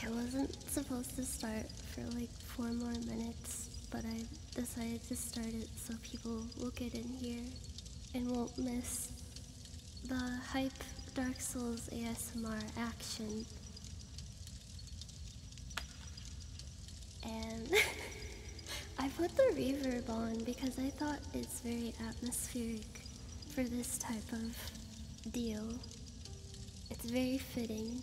It wasn't supposed to start for like four more minutes, but I decided to start it so people will get in here and won't miss the hype Dark Souls ASMR action. And I put the reverb on because I thought it's very atmospheric for this type of deal. It's very fitting.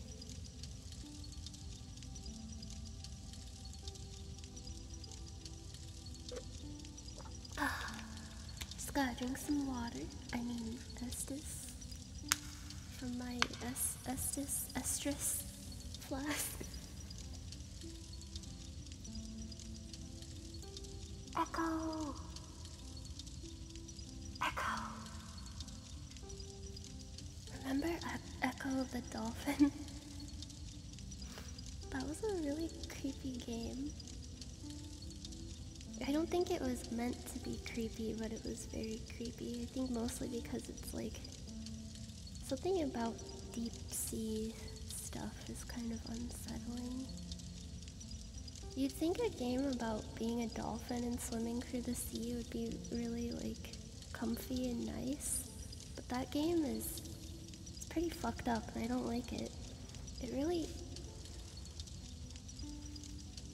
Scott, drink some water. I mean, Estus From my es Estus Estrus flask. Echo! Echo. Remember Echo the Dolphin? that was a really creepy game. I don't think it was meant to be creepy, but it was very creepy. I think mostly because it's like something about deep sea stuff is kind of unsettling. You'd think a game about being a dolphin and swimming through the sea would be really like comfy and nice, but that game is pretty fucked up and I don't like it. It really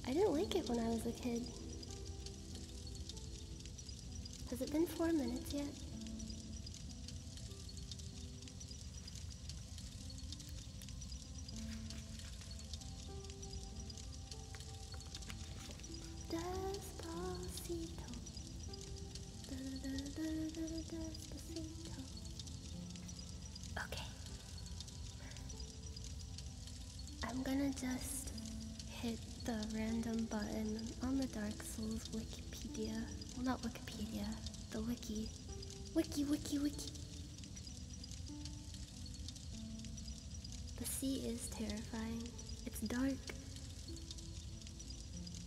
I didn't like it when I was a kid. Has it been four minutes yet? Okay. I'm gonna just hit the random button on the Dark Souls Wikipedia. Well, not Wikipedia, the wiki Wiki, wiki, wiki. The sea is terrifying. It's dark.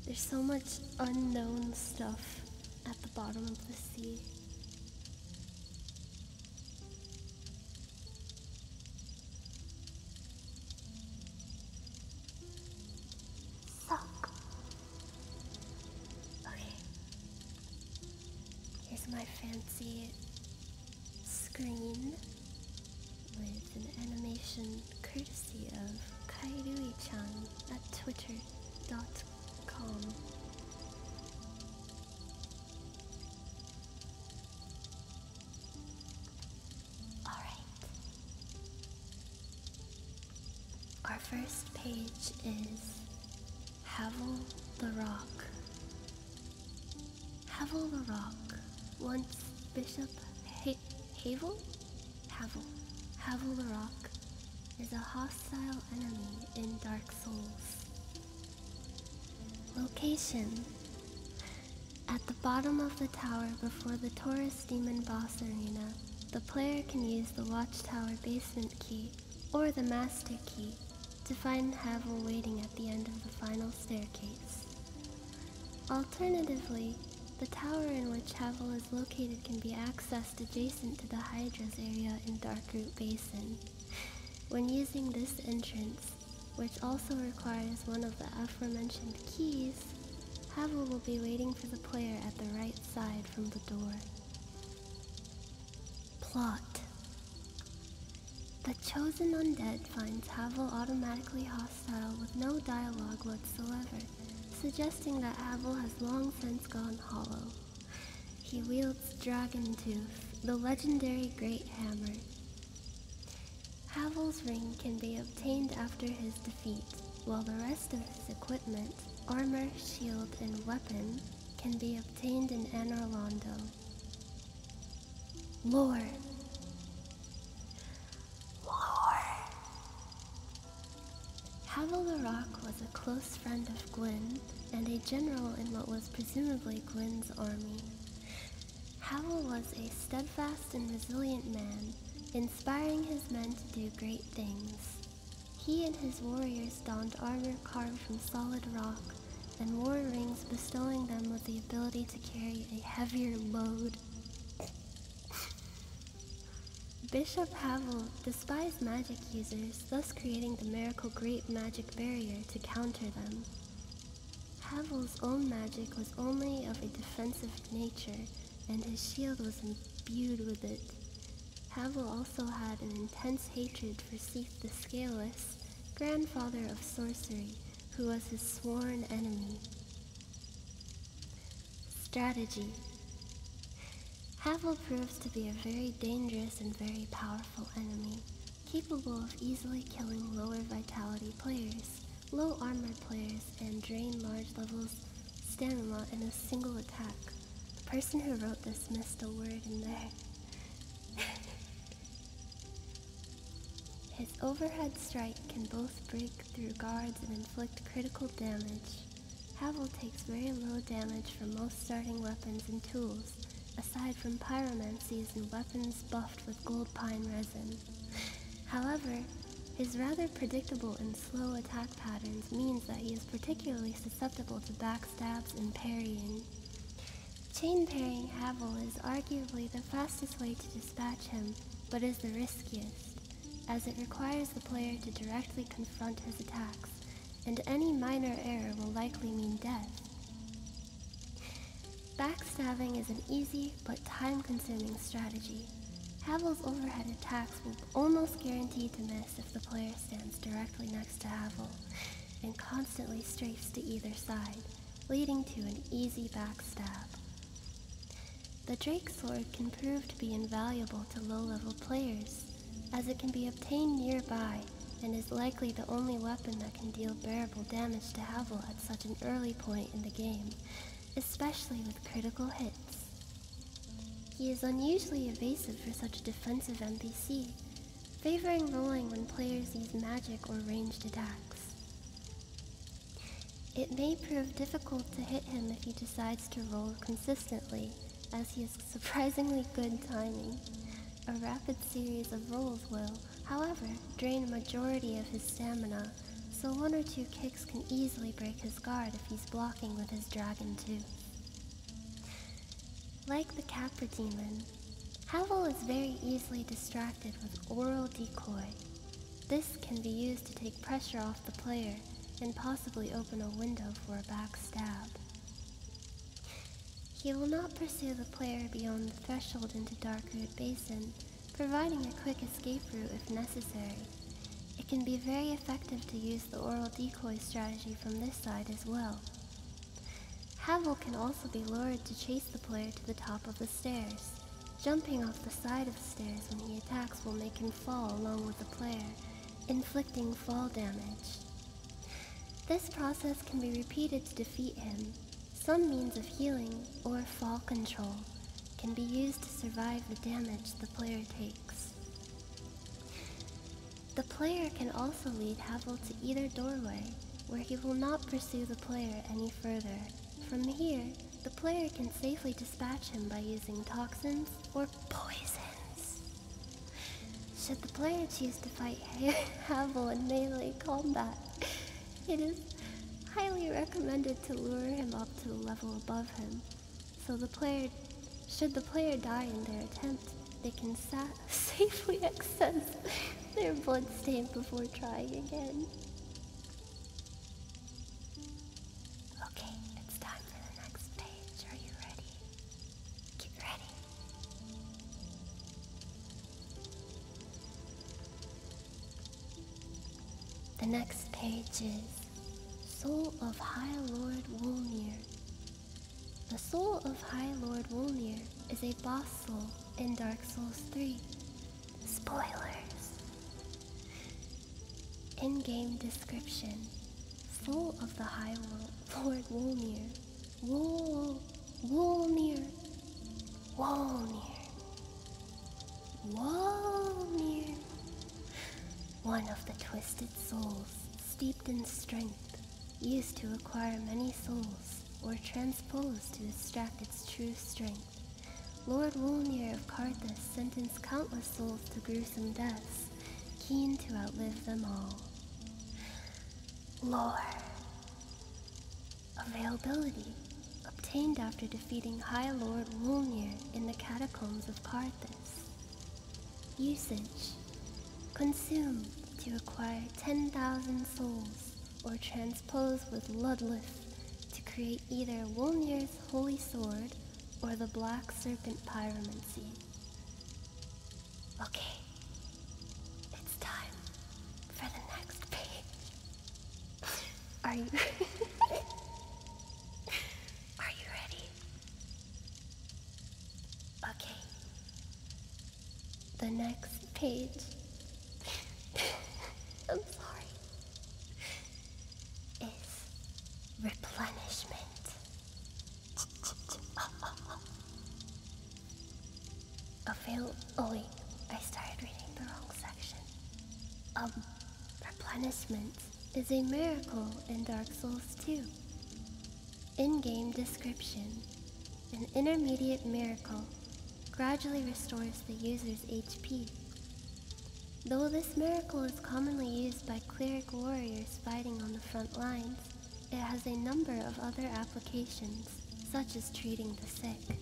There's so much unknown stuff at the bottom of the sea. Okay. Here's my fancy screen with an animation courtesy of Kairui-chan at twitter.com. Alright. Our first page is Havel the Rock. Havel the Rock, once Bishop Havel? Havel. Havel the Rock is a hostile enemy in Dark Souls. Location At the bottom of the tower before the Torus Demon Boss Arena, the player can use the Watchtower basement key or the master key to find Havel waiting at the end of the final staircase. Alternatively, the tower in which Havel is located can be accessed adjacent to the Hydra's area in Darkroot Basin. When using this entrance, which also requires one of the aforementioned keys, Havel will be waiting for the player at the right side from the door. Plot. The chosen undead finds Havil automatically hostile with no dialogue whatsoever, suggesting that Havil has long since gone hollow. He wields Dragon Tooth, the legendary Great Hammer. Havil's ring can be obtained after his defeat, while the rest of his equipment, armor, shield, and weapon can be obtained in Anorlando. Lord. Lord. Havilarock was a close friend of Gwyn and a general in what was presumably Gwyn's army. Havel was a steadfast and resilient man, inspiring his men to do great things. He and his warriors donned armor carved from solid rock and wore rings bestowing them with the ability to carry a heavier load. Bishop Havel despised magic users, thus creating the miracle Great Magic Barrier to counter them. Havel's own magic was only of a defensive nature, and his shield was imbued with it. Havel also had an intense hatred for Seath the Scaleless, grandfather of sorcery, who was his sworn enemy. Strategy Havel proves to be a very dangerous and very powerful enemy, capable of easily killing lower vitality players, low armor players, and drain large levels stamina in a single attack. The person who wrote this missed a word in there. His overhead strike can both break through guards and inflict critical damage. Havel takes very low damage from most starting weapons and tools, aside from pyromancies and weapons buffed with gold pine resin. However, his rather predictable and slow attack patterns means that he is particularly susceptible to back backstabs, and parrying. Chain parrying Havel is arguably the fastest way to dispatch him, but is the riskiest, as it requires the player to directly confront his attacks, and any minor error will likely mean death. Backstabbing is an easy but time-consuming strategy. Havel's overhead attacks will almost guarantee to miss if the player stands directly next to Havel, and constantly strafes to either side, leading to an easy backstab. The Drake Sword can prove to be invaluable to low-level players, as it can be obtained nearby and is likely the only weapon that can deal bearable damage to Havil at such an early point in the game, especially with critical hits. He is unusually evasive for such a defensive NPC, favoring rolling when players use magic or ranged attacks. It may prove difficult to hit him if he decides to roll consistently, as he has surprisingly good timing. A rapid series of rolls will, however, drain a majority of his stamina, so one or two kicks can easily break his guard if he's blocking with his dragon too. Like the Capra demon, Havel is very easily distracted with Oral Decoy. This can be used to take pressure off the player and possibly open a window for a backstab. He will not pursue the player beyond the threshold into Darkroot Basin, providing a quick escape route if necessary. It can be very effective to use the Oral Decoy strategy from this side as well, Havel can also be lured to chase the player to the top of the stairs. Jumping off the side of the stairs when he attacks will make him fall along with the player, inflicting fall damage. This process can be repeated to defeat him. Some means of healing, or fall control, can be used to survive the damage the player takes. The player can also lead Havil to either doorway, where he will not pursue the player any further. From here, the player can safely dispatch him by using toxins or poisons. Should the player choose to fight Havil in melee combat, it is highly recommended to lure him up to the level above him. So the player, should the player die in their attempt, they can sa safely access their bloodstain before trying again. Okay, it's time for the next page. Are you ready? Get ready. The next page is Soul of High Lord Woolmere. The soul of High Lord Wolnir is a boss soul in Dark Souls 3. Spoilers! In game description Soul of the High Lord Wolnir. Wol. Wolnir. Wolnir. Wolnir. One of the twisted souls steeped in strength used to acquire many souls, or transposed to extract its true strength. Lord Wolnir of Karthus sentenced countless souls to gruesome deaths, keen to outlive them all. Lore. Availability. Obtained after defeating High Lord Wolnir in the catacombs of Karthus. Usage. Consume to acquire 10,000 souls, or transpose with Ludlith to create either Wolnir's Holy Sword or the Black Serpent Pyromancy. Okay. It's time for the next page. Are you... Are you ready? Okay the next page. I'm sorry. Is replenishment. Avail. Oh wait, I started reading the wrong section. Um, replenishment is a miracle in Dark Souls 2. In-game description. An intermediate miracle gradually restores the user's HP. Though this miracle is commonly used by cleric warriors fighting on the front lines, it has a number of other applications, such as treating the sick.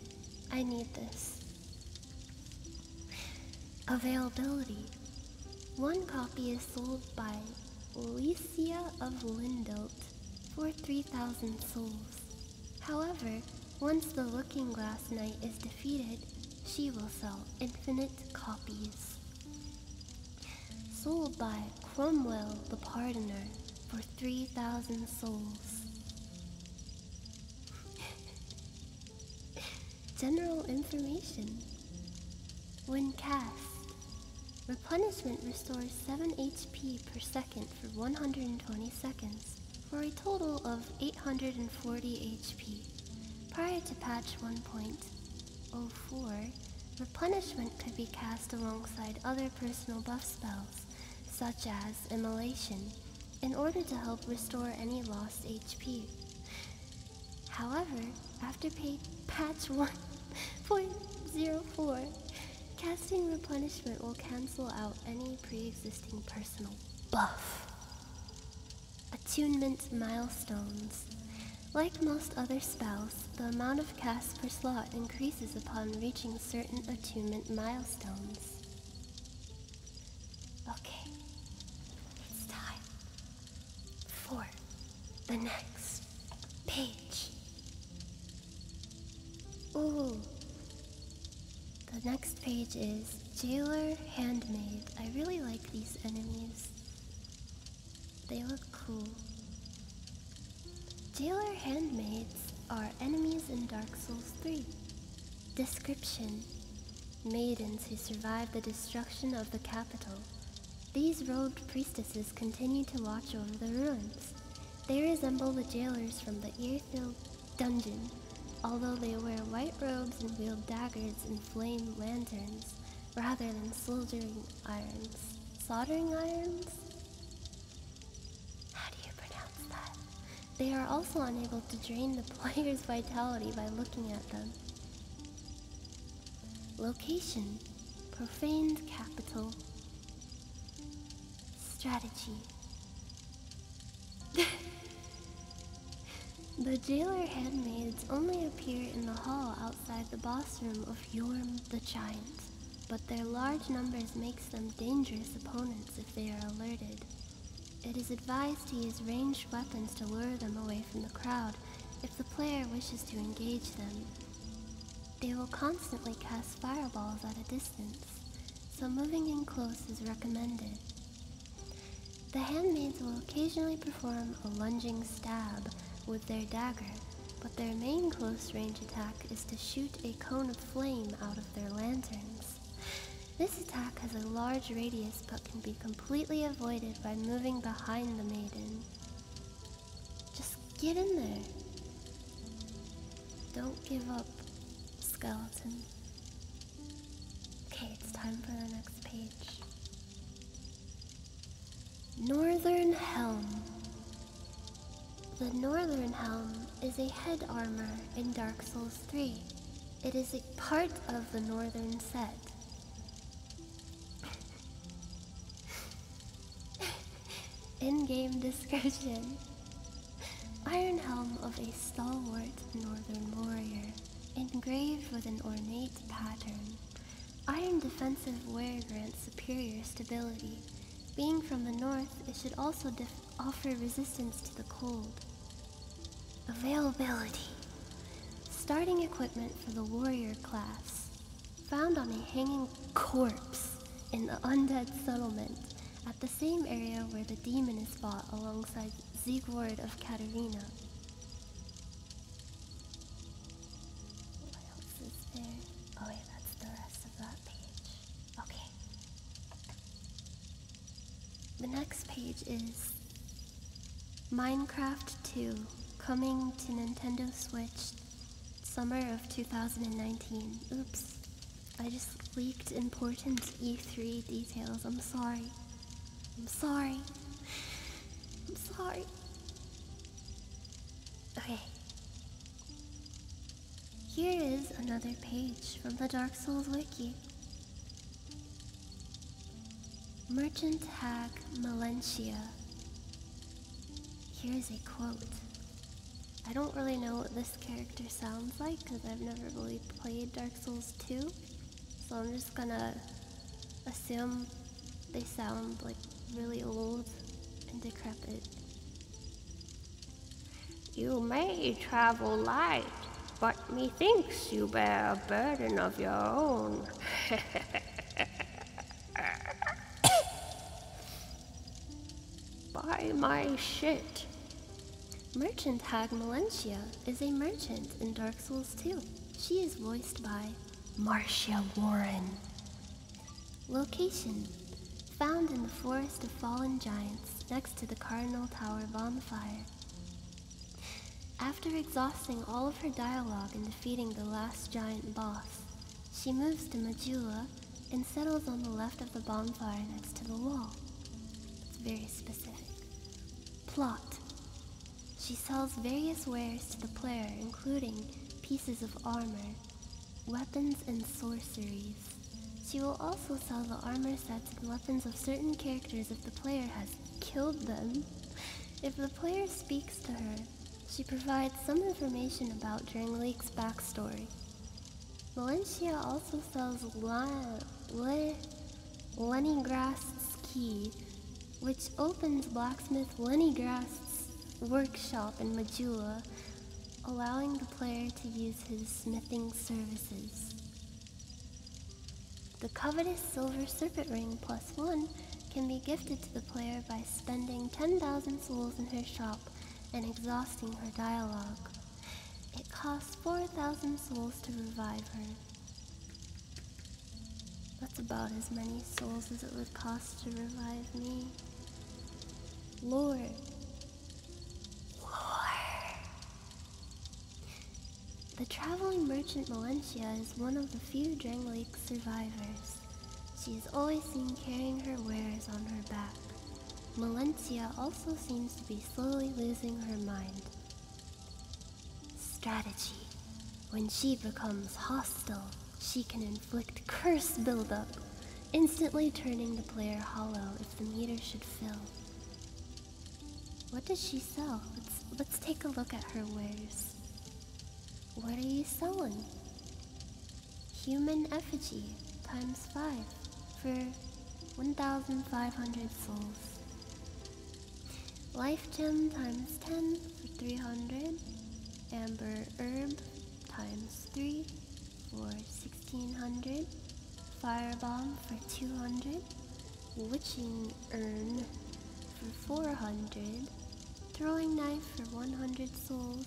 I need this. Availability. One copy is sold by Licia of Lindel for 3,000 souls. However, once the Looking Glass Knight is defeated, she will sell infinite copies. Sold by Cromwell the Pardoner for 3,000 souls. General information. When cast, Replenishment restores 7 HP per second for 120 seconds, for a total of 840 HP. Prior to patch 1.04, replenishment could be cast alongside other personal buff spells, such as Immolation, in order to help restore any lost HP. However, after patch 1. Point zero four. Casting replenishment will cancel out any pre-existing personal buff. Attunement milestones. Like most other spells, the amount of cast per slot increases upon reaching certain attunement milestones. Okay, it's time for the next page. Ooh. The next page is Jailer Handmaid. I really like these enemies. They look cool. Jailer Handmaids are enemies in Dark Souls 3. Description Maidens who survived the destruction of the capital these robed priestesses continue to watch over the ruins. They resemble the jailers from the Earfield dungeon, although they wear white robes and wield daggers and flame lanterns rather than soldering irons. Soldering irons? How do you pronounce that? They are also unable to drain the player's vitality by looking at them. Location Profaned Capital Strategy. the jailer handmaids only appear in the hall outside the boss room of Yorm the Giant, but their large numbers makes them dangerous opponents if they are alerted. It is advised to use ranged weapons to lure them away from the crowd if the player wishes to engage them. They will constantly cast fireballs at a distance, so moving in close is recommended. The handmaids will occasionally perform a lunging stab with their dagger, but their main close range attack is to shoot a cone of flame out of their lanterns. This attack has a large radius but can be completely avoided by moving behind the maiden. Just get in there. Don't give up, skeleton. Okay, it's time for the next page. Northern Helm. The Northern Helm is a head armor in Dark Souls 3. It is a part of the Northern set. In-game description. Iron helm of a stalwart northern warrior, engraved with an ornate pattern. Iron defensive wear grants superior stability. Being from the north, it should also offer resistance to the cold. Availability. Starting equipment for the warrior class found on a hanging corpse in the undead settlement at the same area where the demon is fought alongside Siegward of Katerina. What else is there? Oh wait, that's the rest of that page. Okay. The next page is Minecraft 2 coming to Nintendo Switch Summer of 2019. Oops. I just leaked important E3 details. I'm sorry. I'm sorry. I'm sorry. Okay. Here is another page from the Dark Souls Wiki. Merchant Hag Malentia Here's a quote. I don't really know what this character sounds like because I've never really played Dark Souls 2, so I'm just gonna assume they sound like really old and decrepit. You may travel light, but methinks you bear a burden of your own. Buy my shit. Merchant Hag Malentia is a merchant in Dark Souls 2. She is voiced by Marcia Warren. Location Found in the forest of fallen giants next to the Cardinal Tower bonfire. After exhausting all of her dialogue and defeating the last giant boss, she moves to Majula and settles on the left of the bonfire next to the wall. It's very specific. Plot. She sells various wares to the player, including pieces of armor, weapons, and sorceries. She will also sell the armor sets and weapons of certain characters if the player has killed them. If the player speaks to her, she provides some information about Dringleek's backstory. Valencia also sells Le Le Lenny Grast's key, which opens blacksmith Lenny Grast's workshop in Majula, allowing the player to use his smithing services. The covetous silver serpent ring plus one can be gifted to the player by spending 10,000 souls in her shop and exhausting her dialogue. It costs 4,000 souls to revive her. That's about as many souls as it would cost to revive me. Lord. Lord. The traveling merchant Valencia is one of the few Drang Lake survivors. She is always seen carrying her wares on her back. Malencia also seems to be slowly losing her mind. Strategy. When she becomes hostile, she can inflict curse buildup, instantly turning the player hollow if the meter should fill. What does she sell? Let's, let's take a look at her wares. What are you selling? Human effigy times five for 1,500 souls. Life gem times 10 for 300. Amber herb times 3 for 1600. Firebomb for 200. Witching urn for 400. Throwing knife for 100 souls.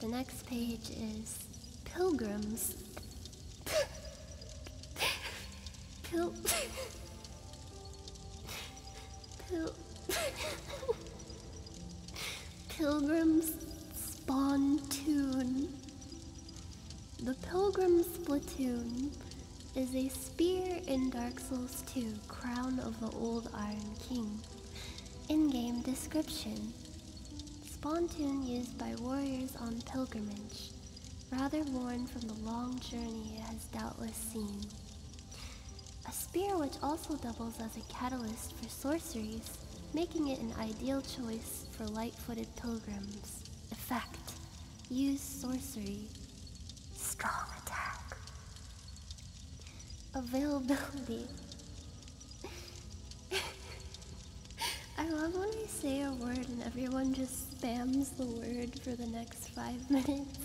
the next page is Pilgrims. Pil. Pil. Pilgrims spawn The Pilgrim's splatoon is a spear in Dark Souls 2. Crown of the Old Iron King. In-game description. Spontoon used by warriors on pilgrimage, rather worn from the long journey it has doubtless seen. A spear which also doubles as a catalyst for sorceries, making it an ideal choice for light-footed pilgrims. Effect. Use sorcery Strong attack. Availability. I love when I say a word and everyone just spams the word for the next five minutes.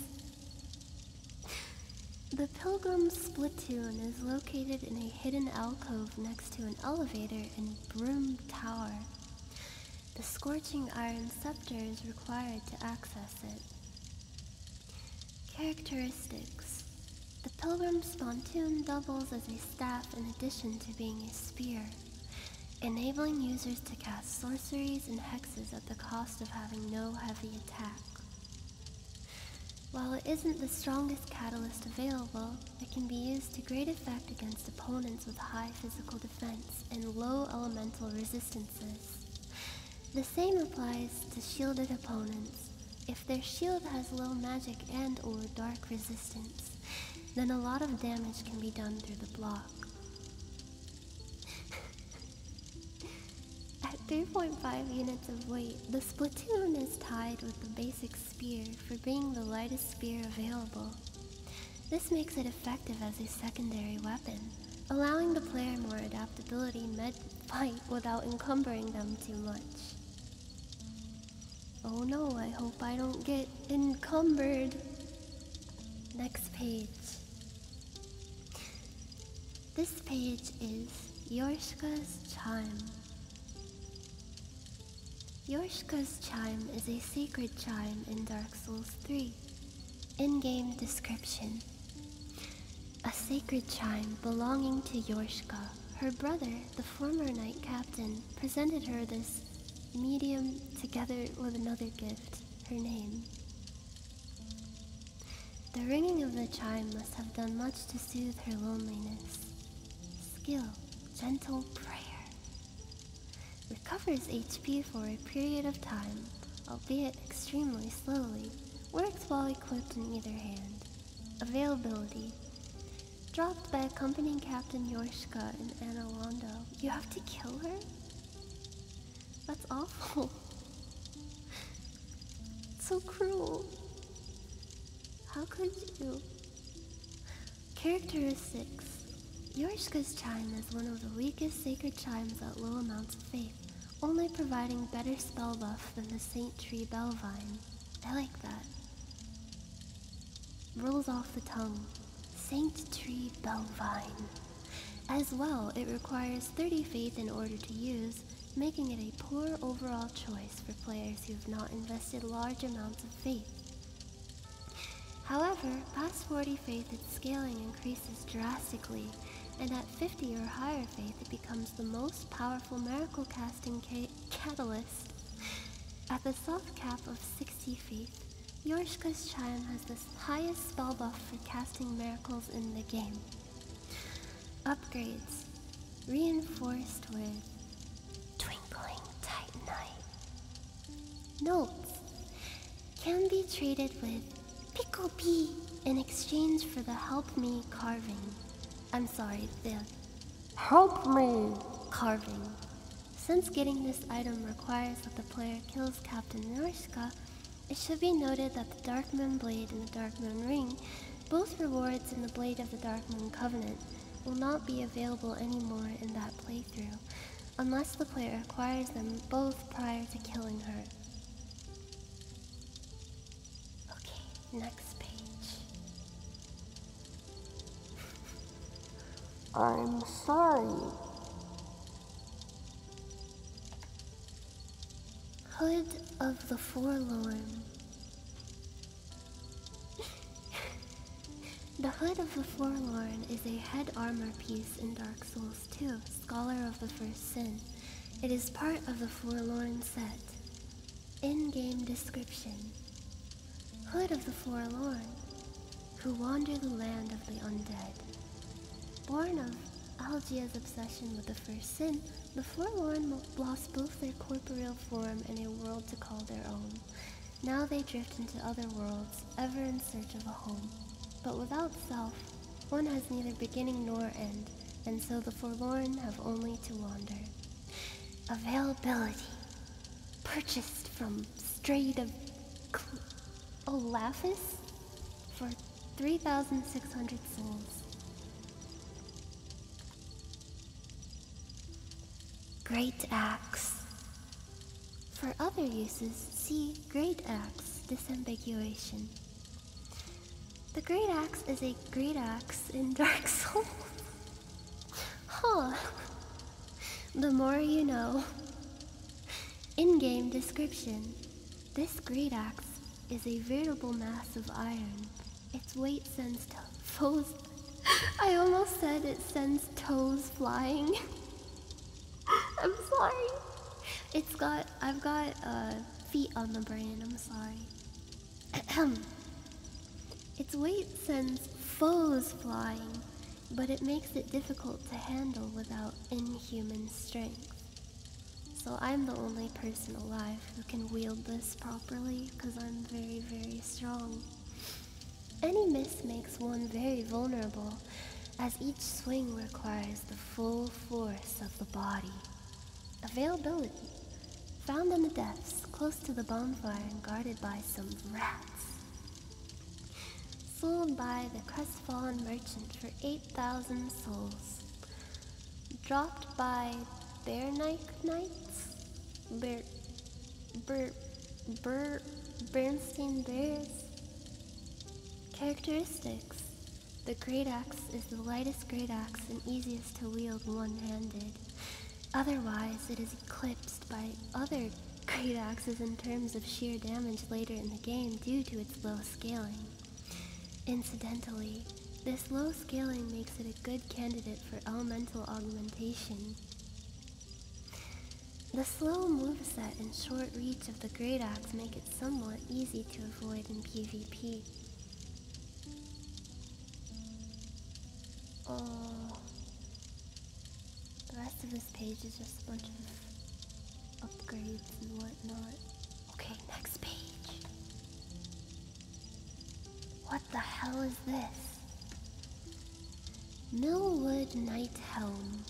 The Pilgrim Splatoon is located in a hidden alcove next to an elevator in Broom Tower. The scorching iron scepter is required to access it. Characteristics The pilgrim's Spontoon doubles as a staff in addition to being a spear, enabling users to cast sorceries and hexes at the cost of having no heavy attack. While it isn't the strongest catalyst available, it can be used to great effect against opponents with high physical defense and low elemental resistances. The same applies to shielded opponents. If their shield has low magic and or dark resistance, then a lot of damage can be done through the block. At 3.5 units of weight, the Splatoon is tied with the basic spear for being the lightest spear available. This makes it effective as a secondary weapon, allowing the player more adaptability without encumbering them too much. Oh no, I hope I don't get encumbered. Next page. This page is Yorshka's Chime. Yorshka's Chime is a sacred chime in Dark Souls 3. In-game description. A sacred chime belonging to Yorshka, her brother, the former knight captain, presented her this medium together with another gift, her name. The ringing of the chime must have done much to soothe her loneliness. Skill, gentle prayer. Recovers HP for a period of time, albeit extremely slowly, Works well equipped in either hand. Availability. Dropped by accompanying Captain Yorshka and Anna Londo. You have to kill her? That's awful. so cruel. How could you? Characteristics. Yorshka's chime is one of the weakest sacred chimes at low amounts of faith, only providing better spell buff than the Saint Tree Bellvine. I like that. Rolls off the tongue. Saint Tree Bellvine. As well, it requires 30 faith in order to use, making it a poor overall choice for players who have not invested large amounts of faith. However, past 40 faith its scaling increases drastically, and at 50 or higher faith, it becomes the most powerful miracle casting catalyst. At the soft cap of 60 faith, Yorshka's Chime has the highest spell buff for casting miracles in the game. Upgrades reinforced with Twinkling Titanite. Notes can be traded with Pickle Pea in exchange for the help me carving. I'm sorry, the help me carving. Since getting this item requires that the player kills Captain Norska, it should be noted that the Dark Moon Blade and the Dark Moon Ring, both rewards in the Blade of the Dark Moon Covenant, will not be available anymore in that playthrough, unless the player acquires them both prior to killing her. Okay, next page. I'm sorry. Hood of the Forlorn. the Hood of the Forlorn is a head armor piece in Dark Souls Chronicles 2, Scholar of the First Sin. It is part of the Forlorn set. In-game description. Hood of the Forlorn, who wander the land of the undead. Born of Algia's obsession with the First Sin, the Forlorn lost both their corporeal form and a world to call their own. Now they drift into other worlds, ever in search of a home. But without self, one has neither beginning nor end, and so the forlorn have only to wander. Availability. Purchased from Strait of Cl Olafus for 3,600 souls. Great Axe. For other uses, see Great Axe Disambiguation. The Great Axe is a Great Axe in Dark Souls. huh. The more you know. In game description This Great Axe is a veritable mass of iron. Its weight sends toes. I almost said it sends toes flying. I'm sorry. It's got I've got uh, feet on the brain. I'm sorry. its weight sends foes flying, but it makes it difficult to handle without inhuman strength. So I'm the only person alive who can wield this properly because I'm very, very strong. Any miss makes one very vulnerable, as each swing requires the full force of the body. Availability. Found in the depths, close to the bonfire and guarded by some rats. Sold by the crestfallen merchant for 8,000 souls. Dropped by Bear Nike Knights? Bear. Ber. Ber. Bernstein Bears? Characteristics the great axe is the lightest great axe and easiest to wield one-handed. Otherwise, it is eclipsed by other great axes in terms of sheer damage later in the game due to its low scaling. Incidentally, this low scaling makes it a good candidate for elemental augmentation. The slow move set and short reach of the great axe make it somewhat easy to avoid in PvP, Oh. The rest of this page is just a bunch of upgrades and whatnot. Okay, next page. What the hell is this? Millwood Night Helm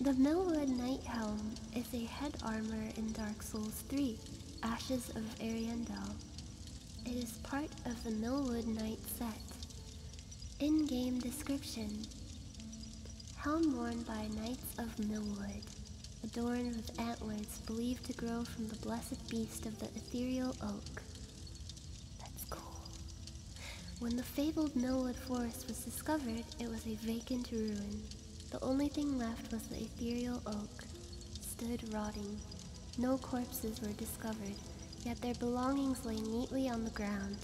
the Millwood Knight Helm is a head armor in Dark Souls 3, Ashes of Ariandel. It is part of the Millwood Knight set. In-game description. Helm worn by Knights of Millwood, adorned with antlers believed to grow from the blessed beast of the ethereal oak. That's cool. When the fabled Millwood Forest was discovered, it was a vacant ruin. The only thing left was the ethereal oak, stood rotting. No corpses were discovered, yet their belongings lay neatly on the ground.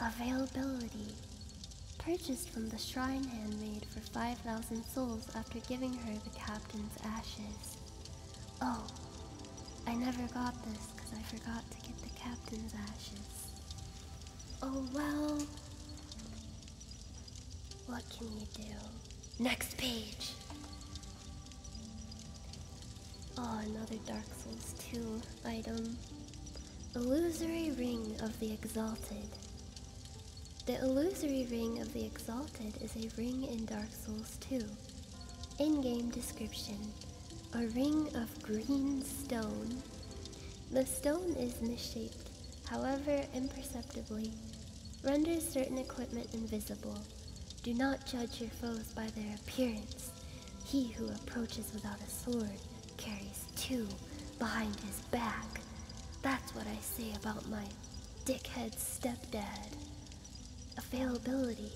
Availability. Purchased from the shrine handmaid for 5,000 souls after giving her the captain's ashes. Oh, I never got this because I forgot to get the captain's ashes. Oh well. What can you do? Next page! Oh, another Dark Souls 2 item. Illusory Ring of the Exalted. The Illusory Ring of the Exalted is a ring in Dark Souls 2. In-game description. A ring of green stone the stone is misshaped, however imperceptibly, renders certain equipment invisible. Do not judge your foes by their appearance. He who approaches without a sword carries two behind his back. That's what I say about my dickhead stepdad. Availability.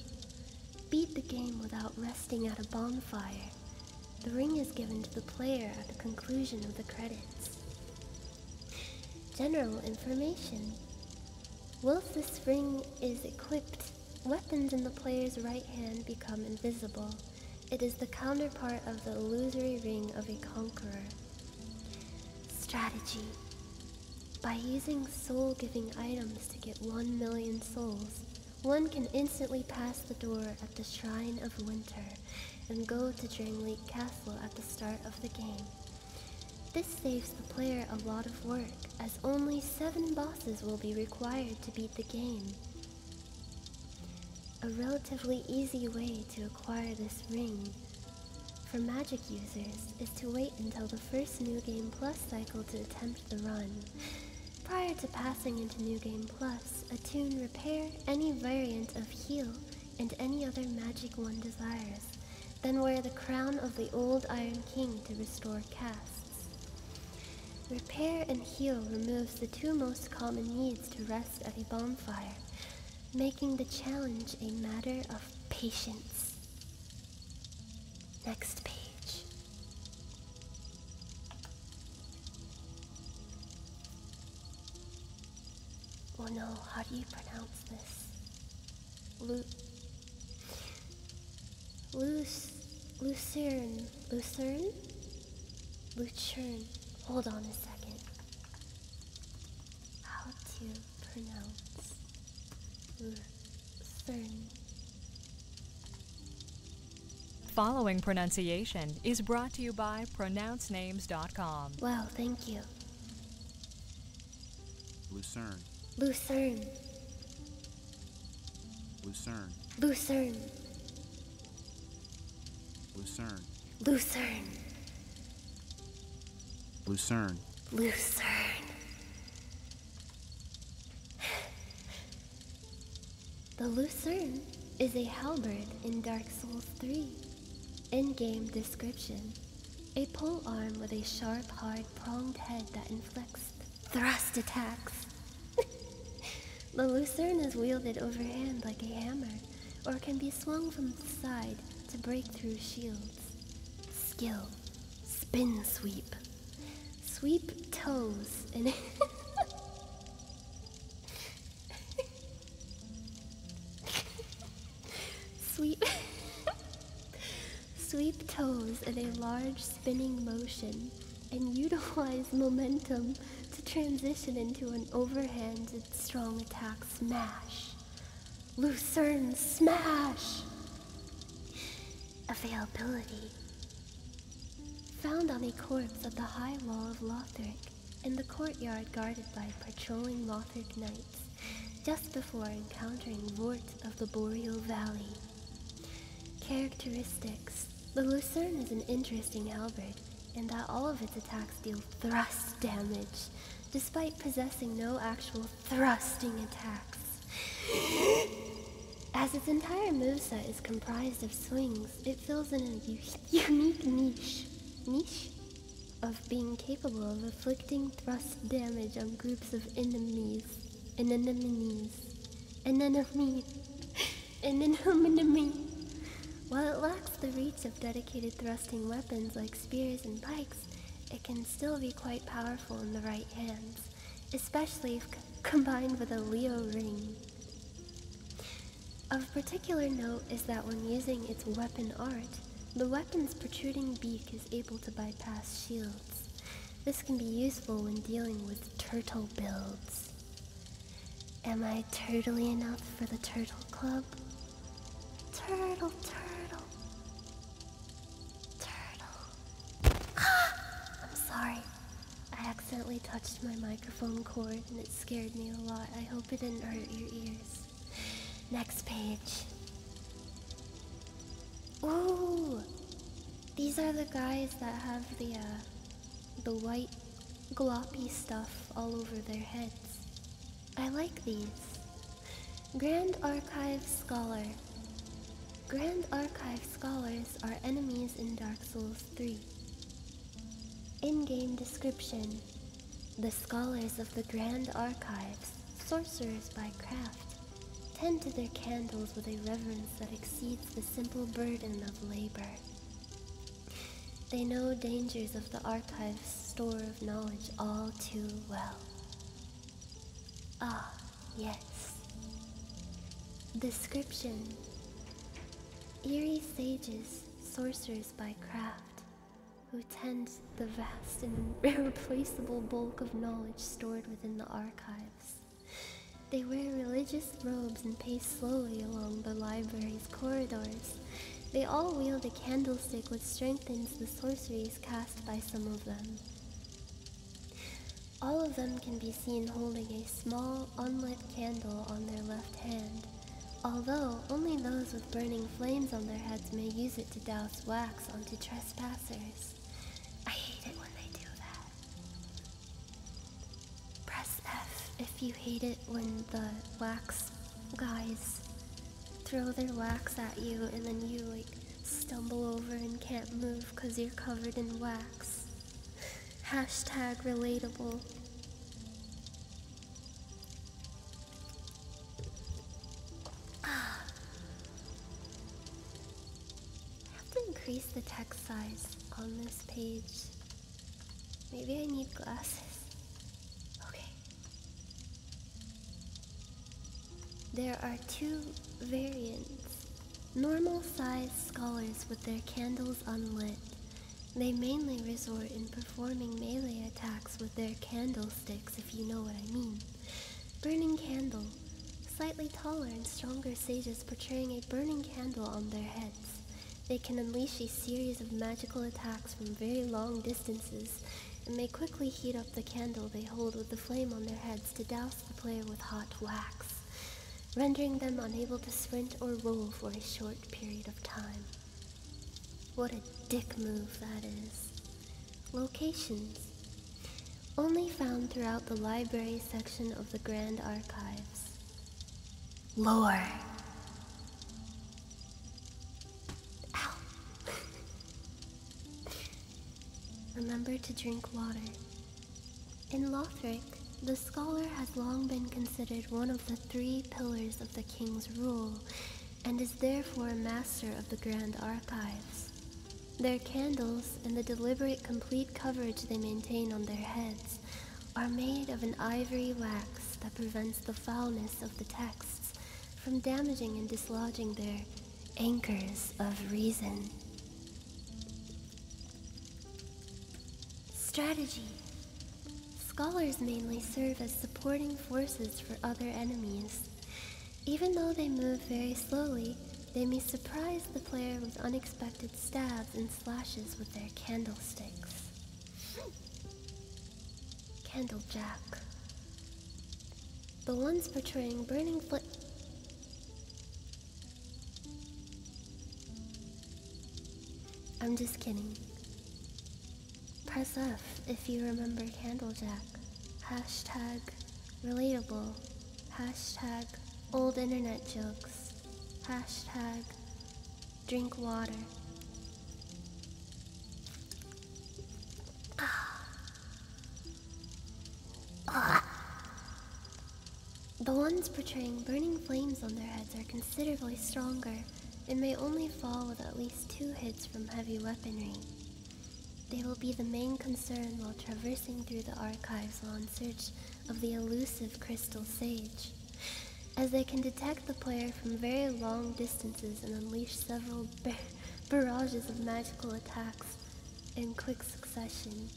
Beat the game without resting at a bonfire. The ring is given to the player at the conclusion of the credits. General information. Whilst this ring is equipped, weapons in the player's right hand become invisible. It is the counterpart of the illusory ring of a conqueror. Strategy. By using soul giving items to get 1 million souls, one can instantly pass the door at the Shrine of Winter and go to Drangleek Castle at the start of the game. This saves the player a lot of work, as only 7 bosses will be required to beat the game. A relatively easy way to acquire this ring for magic users is to wait until the first New Game Plus cycle to attempt the run. Prior to passing into New Game Plus, attune Repair, any variant of Heal, and any other magic one desires. Then wear the crown of the old Iron King to restore casts. Repair and Heal removes the two most common needs to rest at a bonfire, making the challenge a matter of patience. Next page. Well, oh no, how do you pronounce this? Lu. Luce. Lucerne. Lucerne? Lucerne. Hold on a second. How to pronounce Lucerne. Following pronunciation is brought to you by pronouncenames.com. Well, thank you. Lucerne. Lucerne. Lucerne. Lucerne. Lucerne. Lucerne. Lucerne. Lucerne. The Lucerne is a halberd in Dark Souls 3. In-game description. A pole arm with a sharp, hard, pronged head that inflicts thrust attacks. the Lucerne is wielded overhand like a hammer, or can be swung from the side to break through shields. Skill. Spin sweep. Sweep toes and... sweep, sweep toes in a large spinning motion and utilize momentum to transition into an overhanded strong attack smash. Lucerne Smash! Availability Found on a corpse at the high wall of Lothric, in the courtyard guarded by patrolling Lothric knights, just before encountering Vort of the Boreal Valley. Characteristics The Lucerne is an interesting halberd in that all of its attacks deal thrust damage, despite possessing no actual thrusting attacks. As its entire moveset is comprised of swings, it fills in a unique niche. Niche? Of being capable of inflicting thrust damage on groups of enemies. And enemies. An enemies. An enemy. While it lacks the reach of dedicated thrusting weapons like spears and pikes, it can still be quite powerful in the right hands, especially if combined with a Leo ring. Of particular note is that when using its weapon art, the weapon's protruding beak is able to bypass shields. This can be useful when dealing with turtle builds. Am I turtly enough for the turtle club? Turtle, turtle. Turtle. I'm sorry. I accidentally touched my microphone cord and it scared me a lot. I hope it didn't hurt your ears. Next page. Ooh! These are the guys that have the, uh, the white gloppy stuff all over their heads. I like these. Grand Archive Scholar. Grand Archive Scholars are enemies in Dark Souls 3. In-game description. The scholars of the Grand Archives, sorcerers by craft, tend to their candles with a reverence that exceeds the simple burden of labor. They know dangers of the archive's store of knowledge all too well. Ah, yes. Description Eerie sages, sorcerers by craft, who tend the vast and irreplaceable bulk of knowledge stored within the archives. They wear religious robes and pace slowly along the library's corridors. They all wield a candlestick which strengthens the sorceries cast by some of them. All of them can be seen holding a small unlit candle on their left hand, although only those with burning flames on their heads may use it to douse wax onto trespassers. I hate it when they do that. Press F if you hate it when the wax guys throw their wax at you and then you like stumble over and can't move because you're covered in wax. Hashtag relatable. I have to increase the text size on this page. Maybe I need glasses. Okay. There are two variants normal sized scholars with their candles unlit they mainly resort in performing melee attacks with their candlesticks, if you know what I mean. Burning candle. Slightly taller and stronger sages portraying a burning candle on their heads. They can unleash a series of magical attacks from very long distances and may quickly heat up the candle they hold with the flame on their heads to douse the player with hot wax rendering them unable to sprint or roll for a short period of time. What a dick move that is. Locations. Only found throughout the library section of the Grand Archives. Lore. Ow. Remember to drink water. In Lothric, the scholar has long been considered one of the three pillars of the king's rule and is therefore a master of the grand archives. Their candles and the deliberate complete coverage they maintain on their heads are made of an ivory wax that prevents the foulness of the texts from damaging and dislodging their anchors of reason. Strategy Scholars mainly serve as supporting forces for other enemies. Even though they move very slowly, they may surprise the player with unexpected stabs and slashes with their candlesticks. Candlejack. The ones portraying burning fl- I'm just kidding. Press F if you remember Candlejack. Hashtag relatable. Hashtag old internet jokes. Hashtag drink water. Ah. Ah. The ones portraying burning flames on their heads are considerably stronger and may only fall with at least two hits from heavy weaponry. They will be the main concern while traversing through the archives while in search of the elusive Crystal Sage, as they can detect the player from very long distances and unleash several barrages of magical attacks in quick succession.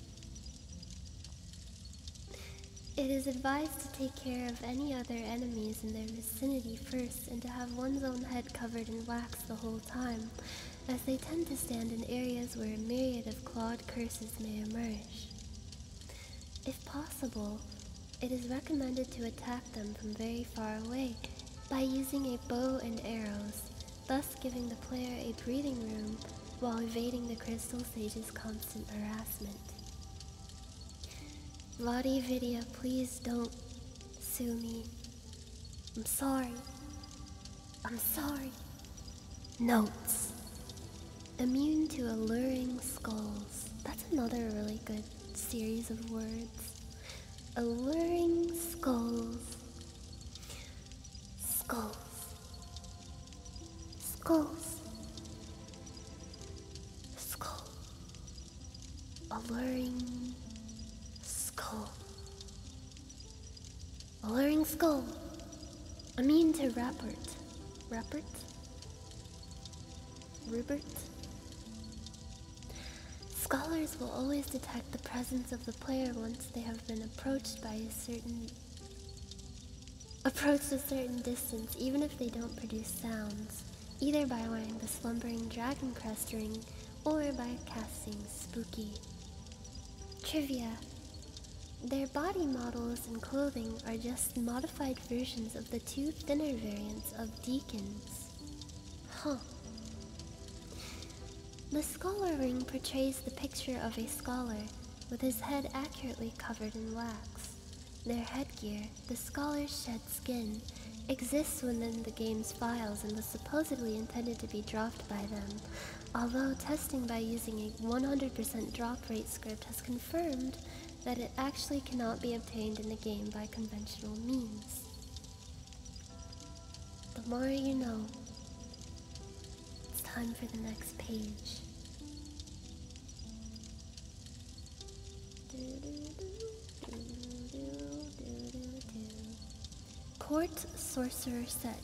It is advised to take care of any other enemies in their vicinity first and to have one's own head covered in wax the whole time, as they tend to stand in areas where a myriad of clawed curses may emerge. If possible, it is recommended to attack them from very far away by using a bow and arrows, thus giving the player a breathing room while evading the Crystal Sage's constant harassment. Lottie Vidya, please don't sue me. I'm sorry. I'm sorry. Notes. Immune to alluring skulls. That's another really good series of words. Alluring skulls. Skulls. Skulls. Skull. Alluring skull. Alluring skull. I mean to Rappert. Rappert? Rupert? Scholars will always detect the presence of the player once they have been approached by a certain approached a certain distance, even if they don't produce sounds, either by wearing the slumbering dragon crest ring or by casting spooky. Trivia Their body models and clothing are just modified versions of the two thinner variants of deacons. Huh. The scholar ring portrays the picture of a scholar with his head accurately covered in wax. Their headgear, the scholar's shed skin, exists within the game's files and was supposedly intended to be dropped by them, although testing by using a 100% drop rate script has confirmed that it actually cannot be obtained in the game by conventional means. The more you know, it's time for the next page. Court Sorcerer Set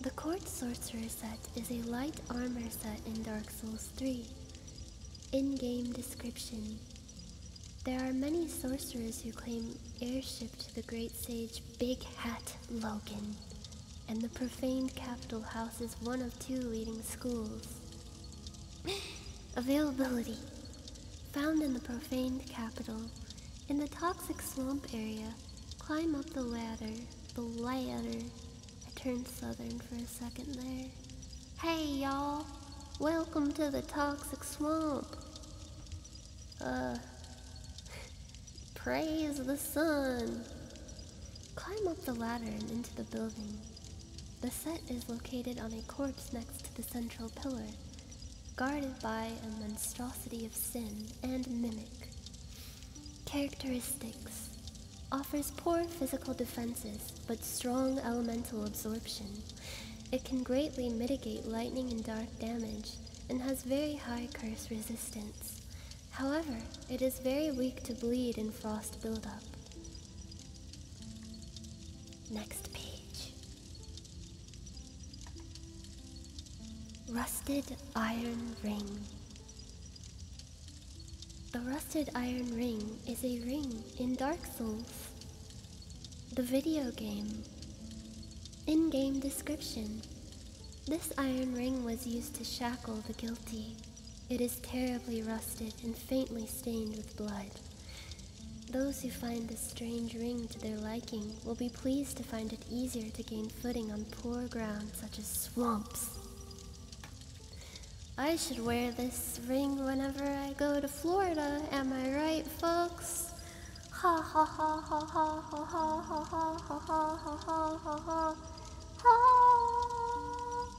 The Court Sorcerer Set is a light armor set in Dark Souls 3. In-game description There are many sorcerers who claim airship to the great sage Big Hat Logan, and the profaned capital house is one of two leading schools. Availability. Found in the profaned capital. In the toxic swamp area, climb up the ladder. The ladder. I turned southern for a second there. Hey, y'all. Welcome to the toxic swamp. Uh. Praise the sun. Climb up the ladder and into the building. The set is located on a corpse next to the central pillar, guarded by a monstrosity of sin and mimic. Characteristics Offers poor physical defenses, but strong elemental absorption. It can greatly mitigate lightning and dark damage, and has very high curse resistance. However, it is very weak to bleed in frost buildup. Next page. Rusted Iron Ring. The rusted iron ring is a ring in Dark Souls. The video game. In game description. This iron ring was used to shackle the guilty it is terribly rusted and faintly stained with blood. Those who find this strange ring to their liking will be pleased to find it easier to gain footing on poor ground such as swamps. I should wear this ring whenever I go to Florida, am I right, folks? Ha ha ha ha ha ha ha ha ha ha ha ha ha ha ha.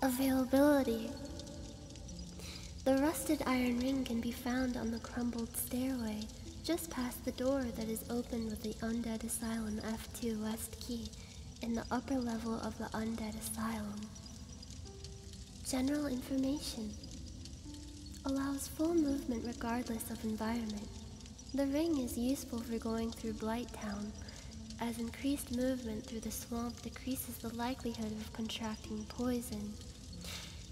Availability. The rusted iron ring can be found on the crumbled stairway, just past the door that is opened with the Undead Asylum F2 West key in the upper level of the Undead Asylum. General information. Allows full movement regardless of environment. The ring is useful for going through Blight Town, as increased movement through the swamp decreases the likelihood of contracting poison.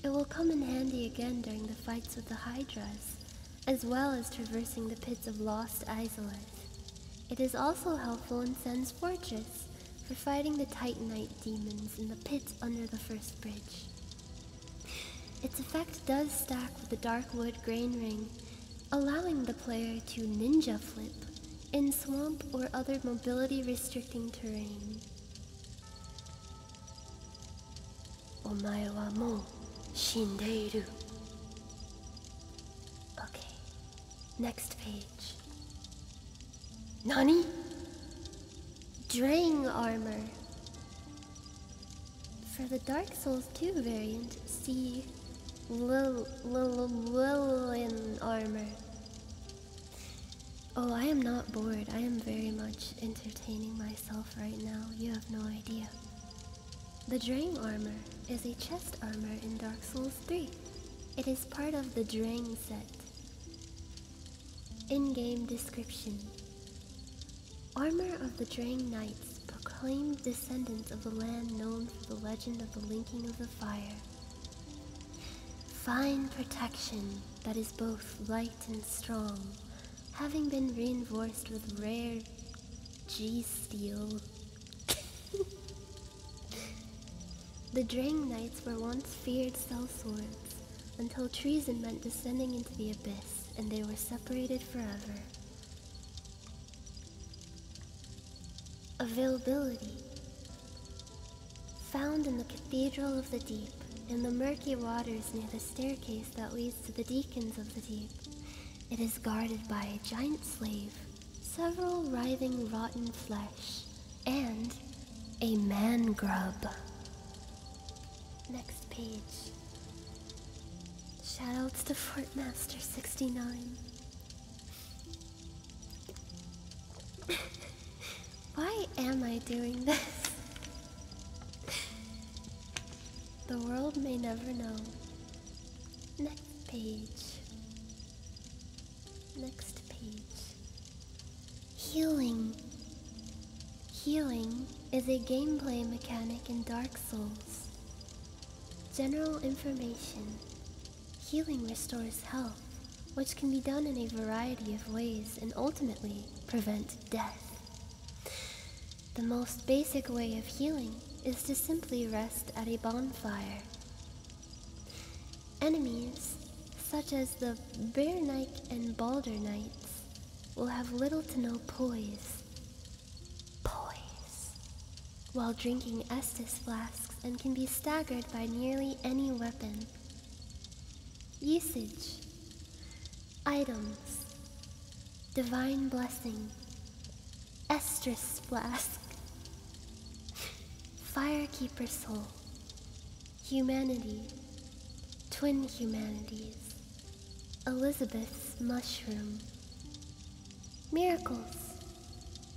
It will come in handy again during the fights with the Hydras, as well as traversing the pits of Lost Isolith. It is also helpful in Sen's Fortress for fighting the Titanite demons in the pit under the first bridge. Its effect does stack with the Darkwood Grain Ring, allowing the player to ninja flip in swamp or other mobility restricting terrain. Okay, next page. Nani? Drang armor. For the Dark Souls 2 variant, see Lilin armor. Oh, I am not bored. I am very much entertaining myself right now. You have no idea. The Drang armor is a chest armor in Dark Souls 3. It is part of the Drang set. In-game description. Armor of the Drang Knights proclaimed descendants of the land known for the legend of the linking of the fire. Fine protection that is both light and strong, having been reinforced with rare G-steel. The Drang Knights were once feared swords, until treason meant descending into the abyss, and they were separated forever. Availability Found in the Cathedral of the Deep, in the murky waters near the staircase that leads to the Deacons of the Deep, it is guarded by a giant slave, several writhing rotten flesh, and a man grub. Next page. Shoutouts to Fortmaster69. Why am I doing this? the world may never know. Next page. Next page. Healing. Healing is a gameplay mechanic in Dark Souls. General information. Healing restores health, which can be done in a variety of ways and ultimately prevent death. The most basic way of healing is to simply rest at a bonfire Enemies, such as the Bear Knight and Balder Knights, will have little to no poise. Poise. While drinking Estus flasks and can be staggered by nearly any weapon. Usage. Items. Divine Blessing. Estus Flask. Firekeeper Soul. Humanity. Twin humanities. Elizabeth's mushroom. Miracles.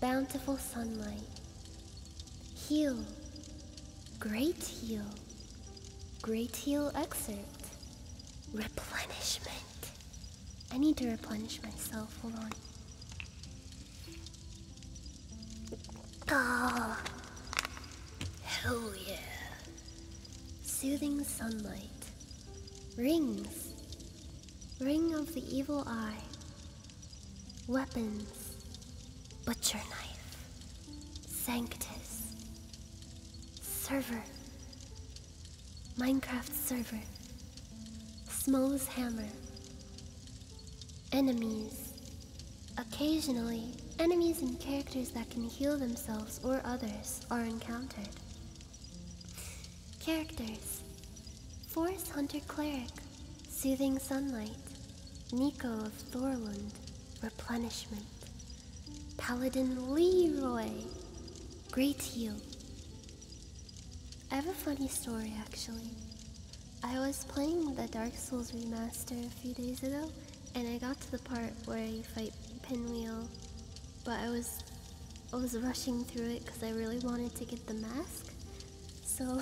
Bountiful sunlight. Heal. Great heal. Great heal excerpt. Replenishment. I need to replenish myself. Hold on. Ah, hell yeah. Soothing sunlight. Rings. Ring of the evil eye. Weapons. Butcher knife. Sanctus. Server. Minecraft server. Smallest hammer. Enemies. Occasionally, enemies and characters that can heal themselves or others are encountered. Characters. Forest Hunter Cleric, Soothing Sunlight, Nico of Thorlund, Replenishment, Paladin Leroy, Great Heal. I have a funny story actually. I was playing the Dark Souls remaster a few days ago, and I got to the part where you fight Pinwheel, but I was I was rushing through it because I really wanted to get the mask. So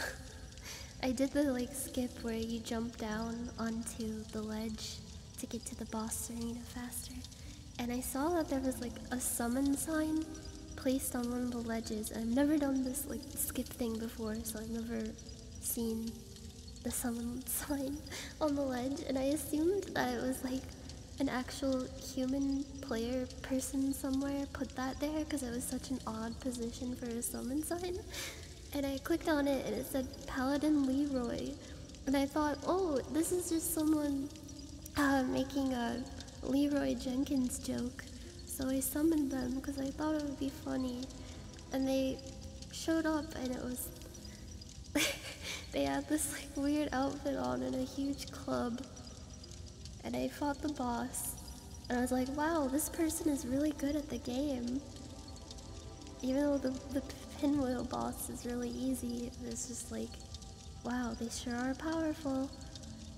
I did the like skip where you jump down onto the ledge to get to the boss arena faster. And I saw that there was like a summon sign placed on one of the ledges. I've never done this like skip thing before, so I've never seen the summon sign on the ledge, and I assumed that it was like an actual human player person somewhere put that there because it was such an odd position for a summon sign. And I clicked on it and it said Paladin Leroy. And I thought, oh, this is just someone uh, making a Leroy Jenkins joke. So I summoned them because I thought it would be funny and they showed up and it was they had this like weird outfit on in a huge club and I fought the boss and I was like wow this person is really good at the game even though the, the pinwheel boss is really easy it was just like wow they sure are powerful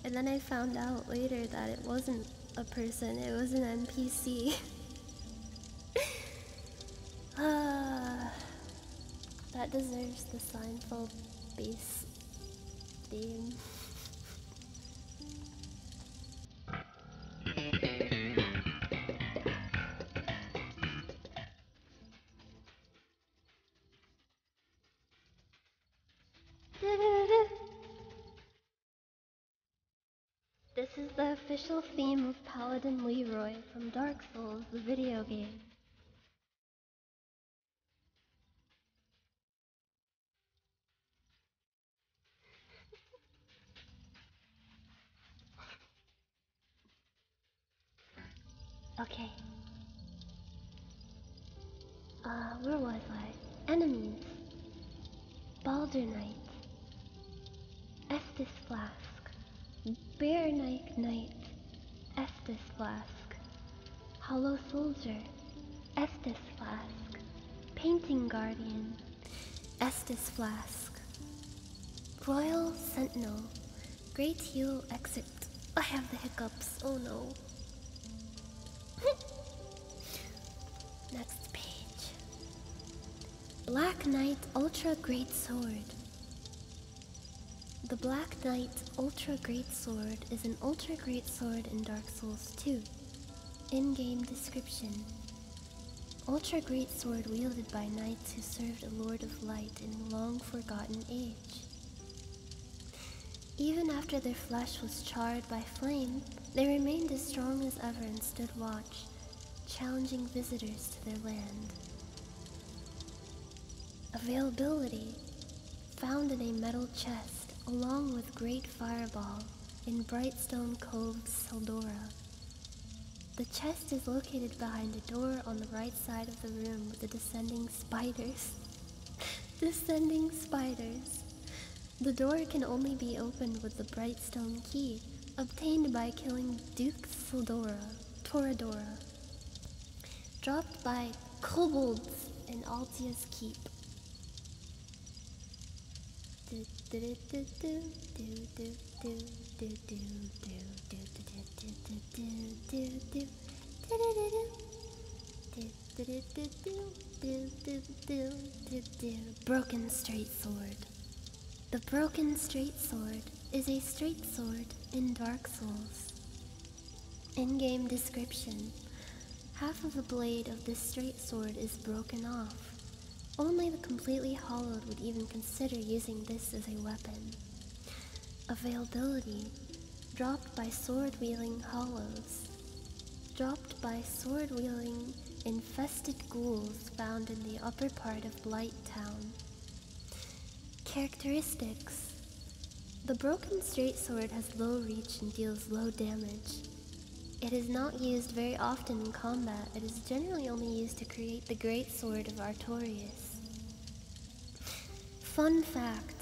and then I found out later that it wasn't a person, it was an NPC. ah, that deserves the Seinfeld base theme. This is the official theme of Paladin Leroy from Dark Souls, the video game. okay. Uh, where was I? Enemies. Balder Knight, Estus Flask, Bear Knight, Knight, Estus Flask, Hollow Soldier, Estus Flask, Painting Guardian, Estus Flask, Royal Sentinel, Great Hero Exit. I have the hiccups, oh no. Next page. Black Knight Ultra Great Sword. The Black Knight Ultra Great Sword is an ultra great sword in Dark Souls 2. In-game description. Ultra great sword wielded by knights who served a Lord of Light in long forgotten age. Even after their flesh was charred by flame, they remained as strong as ever and stood watch, challenging visitors to their land. Availability found in a metal chest along with Great Fireball in Brightstone Cove, Seldora. The chest is located behind a door on the right side of the room with the descending spiders. descending spiders. The door can only be opened with the bright stone key, obtained by killing Duke Sildora, Toradora, dropped by kobolds in Altia's keep. Broken Straight Sword. The Broken Straight Sword is a straight sword in Dark Souls. In game description Half of the blade of this straight sword is broken off. Only the completely hollowed would even consider using this as a weapon. Availability dropped by sword wielding hollows dropped by sword-wielding, infested ghouls found in the upper part of Blight Town. Characteristics The broken straight sword has low reach and deals low damage. It is not used very often in combat, it is generally only used to create the great sword of Artorias. Fun fact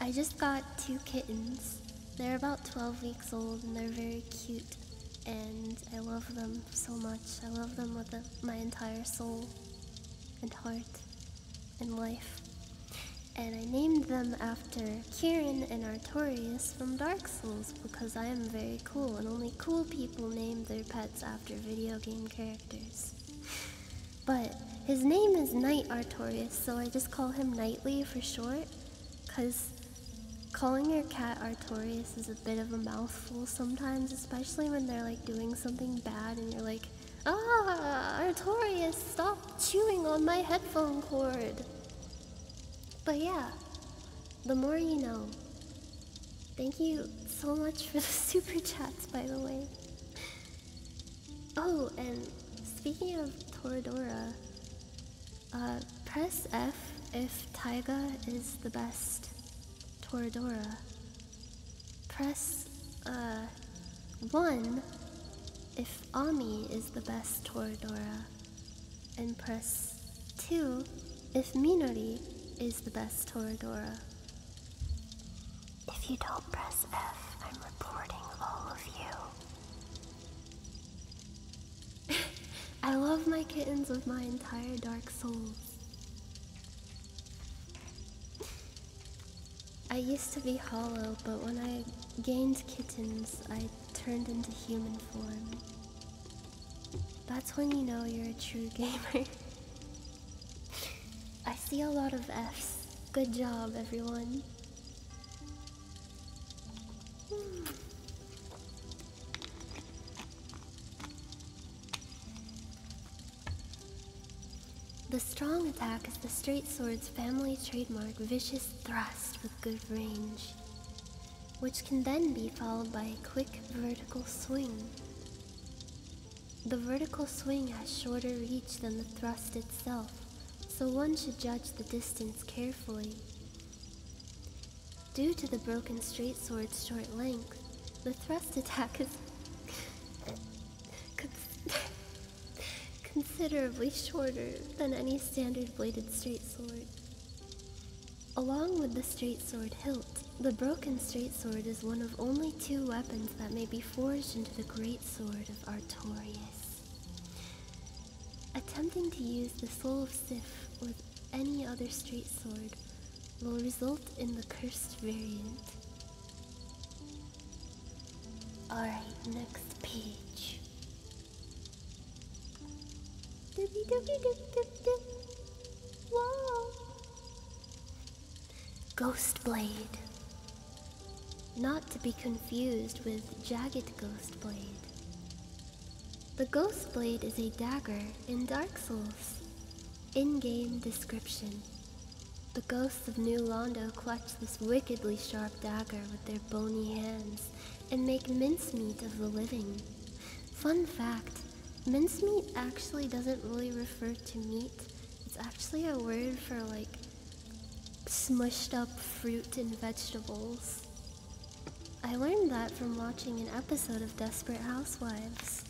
I just got two kittens. They're about 12 weeks old and they're very cute and I love them so much. I love them with my entire soul and heart and life. And I named them after Kieran and Artorias from Dark Souls because I am very cool and only cool people name their pets after video game characters. But his name is Knight Artorias, so I just call him Knightly for short. Because calling your cat Artorias is a bit of a mouthful sometimes, especially when they're like doing something bad and you're like, Ah, Artorias, stop chewing on my headphone cord. But yeah, the more you know. Thank you so much for the super chats, by the way. Oh, and speaking of Toradora, uh, press F if Taiga is the best Toradora. Press, uh, 1 if Ami is the best Toradora. And press 2 if Minori is the best Toradora. If you don't press F, I'm reporting all of you. I love my kittens with my entire dark souls. I used to be hollow, but when I gained kittens, I turned into human form. That's when you know you're a true gamer. I see a lot of Fs. Good job, everyone. The strong attack is the straight sword's family trademark vicious thrust with good range, which can then be followed by a quick vertical swing. The vertical swing has shorter reach than the thrust itself, so one should judge the distance carefully. Due to the broken straight sword's short length, the thrust attack is considerably shorter than any standard bladed straight sword. Along with the straight sword hilt, the broken straight sword is one of only two weapons that may be forged into the great sword of Artorius. Attempting to use the Soul of Sif with any other straight sword will result in the cursed variant. Alright, next page. Doopy doopy doop doop doop. Whoa! Ghost Blade. Not to be confused with Jagged Ghost Blade. The Ghost Blade is a dagger in Dark Souls. In-game description. The ghosts of New Londo clutch this wickedly sharp dagger with their bony hands and make mincemeat of the living. Fun fact, mincemeat actually doesn't really refer to meat. It's actually a word for like smushed up fruit and vegetables. I learned that from watching an episode of Desperate Housewives.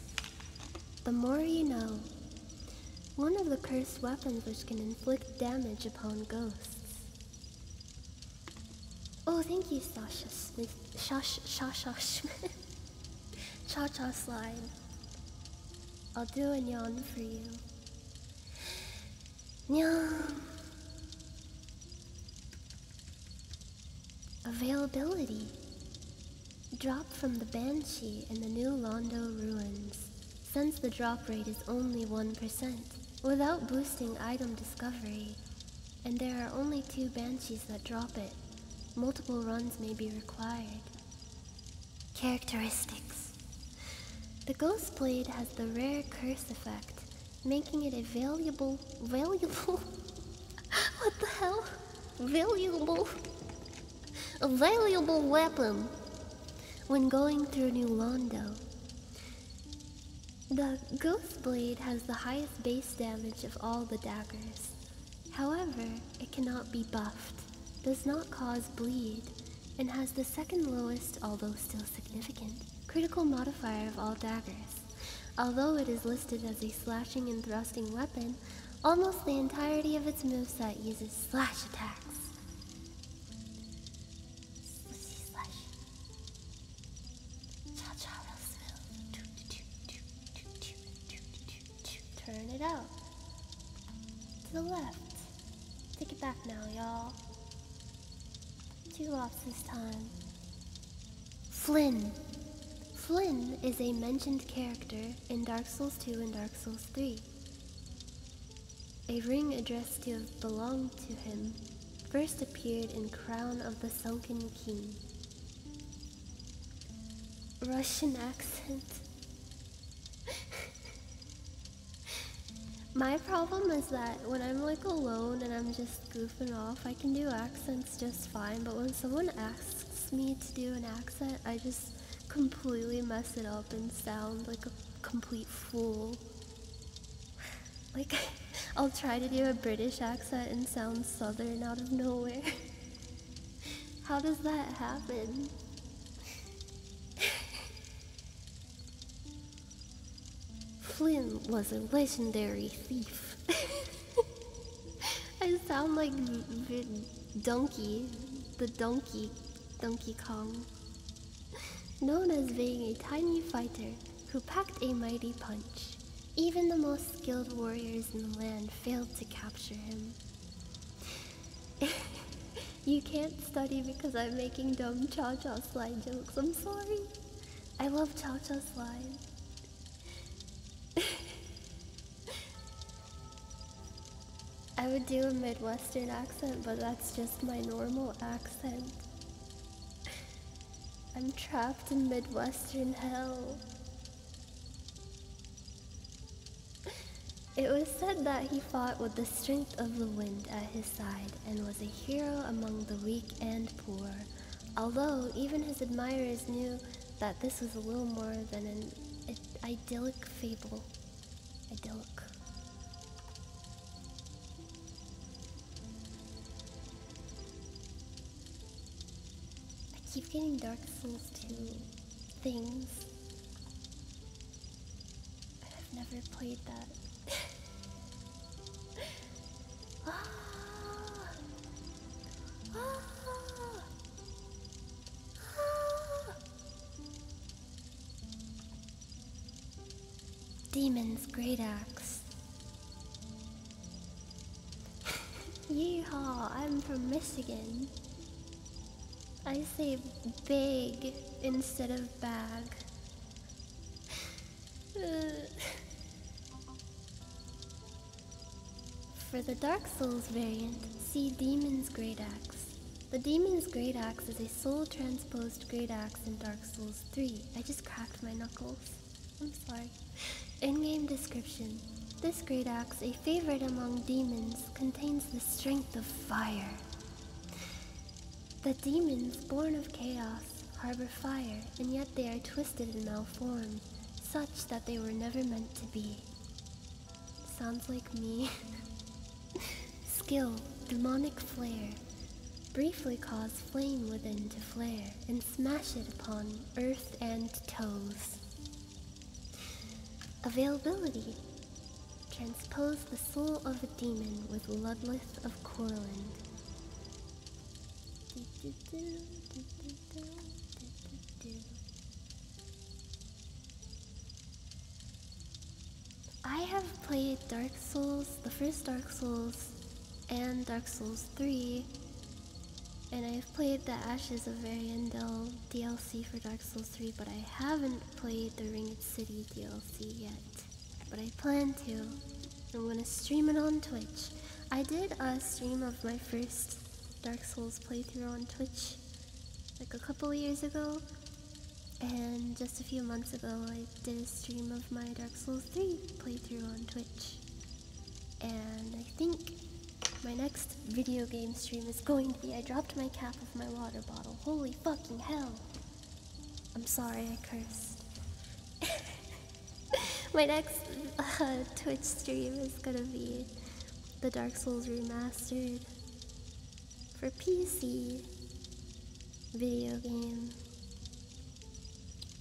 The more you know. One of the cursed weapons which can inflict damage upon ghosts. Oh, thank you, Sasha Smith. Shosh, Cha Cha Slide. I'll do a yawn for you. Nyam. Availability. Drop from the Banshee in the new Londo ruins. Since the drop rate is only 1%, without boosting item discovery, and there are only two Banshees that drop it, multiple runs may be required. Characteristics. The Ghost Blade has the rare curse effect, making it a valuable, valuable, what the hell? Valuable, a valuable weapon when going through New Londo. The Ghost Blade has the highest base damage of all the daggers. However, it cannot be buffed, does not cause bleed, and has the second lowest, although still significant, critical modifier of all daggers. Although it is listed as a slashing and thrusting weapon, almost the entirety of its moveset uses slash attacks. Two offs this time. Flynn. Flynn is a mentioned character in Dark Souls 2 and Dark Souls 3. A ring addressed to have belonged to him first appeared in Crown of the Sunken King. Russian accent. My problem is that when I'm like alone and I'm just goofing off. I can do accents just fine, but when someone asks me to do an accent, I just completely mess it up and sound like a complete fool. like, I'll try to do a British accent and sound southern out of nowhere. How does that happen? Flynn was a legendary thief. I sound like the Donkey, the Donkey, Donkey Kong. Known as being a tiny fighter who packed a mighty punch, even the most skilled warriors in the land failed to capture him. you can't study because I'm making dumb cha cha slide jokes, I'm sorry. I love Chow Chow's line. I would do a Midwestern accent, but that's just my normal accent. I'm trapped in Midwestern hell. It was said that he fought with the strength of the wind at his side and was a hero among the weak and poor although even his admirers knew that this was a little more than an idyllic fable. Idyllic. I keep getting Dark Souls 2 things. but I've never played that ah. Demon's great axe. Yeehaw, I'm from Michigan. I say big instead of bag. For the Dark Souls variant, see Demon's Great Axe. The Demon's Great Axe is a soul transposed Great Axe in Dark Souls 3. I just cracked my knuckles. I'm sorry. In-game description. This Great Axe, a favorite among demons, contains the strength of fire. The demons born of chaos harbor fire, and yet they are twisted and malformed, such that they were never meant to be. Sounds like me. Skill, demonic flare. Briefly cause flame within to flare, and smash it upon earth and toes. Availability. Transpose the soul of a demon with Ludlith of Corland. I have played Dark Souls, the first Dark Souls, and Dark Souls 3, and I've played the Ashes of Ariandel DLC for Dark Souls 3, but I haven't played the Ringed City DLC yet, but I plan to. I am going to stream it on Twitch. I did a stream of my first Dark Souls playthrough on Twitch like a couple years ago, and just a few months ago, I did a stream of my Dark Souls 3 playthrough on Twitch. And I think my next video game stream is going to be I dropped my cap of my water bottle. Holy fucking hell! I'm sorry I cursed. My next uh, Twitch stream is gonna be the Dark Souls Remastered for PC video game.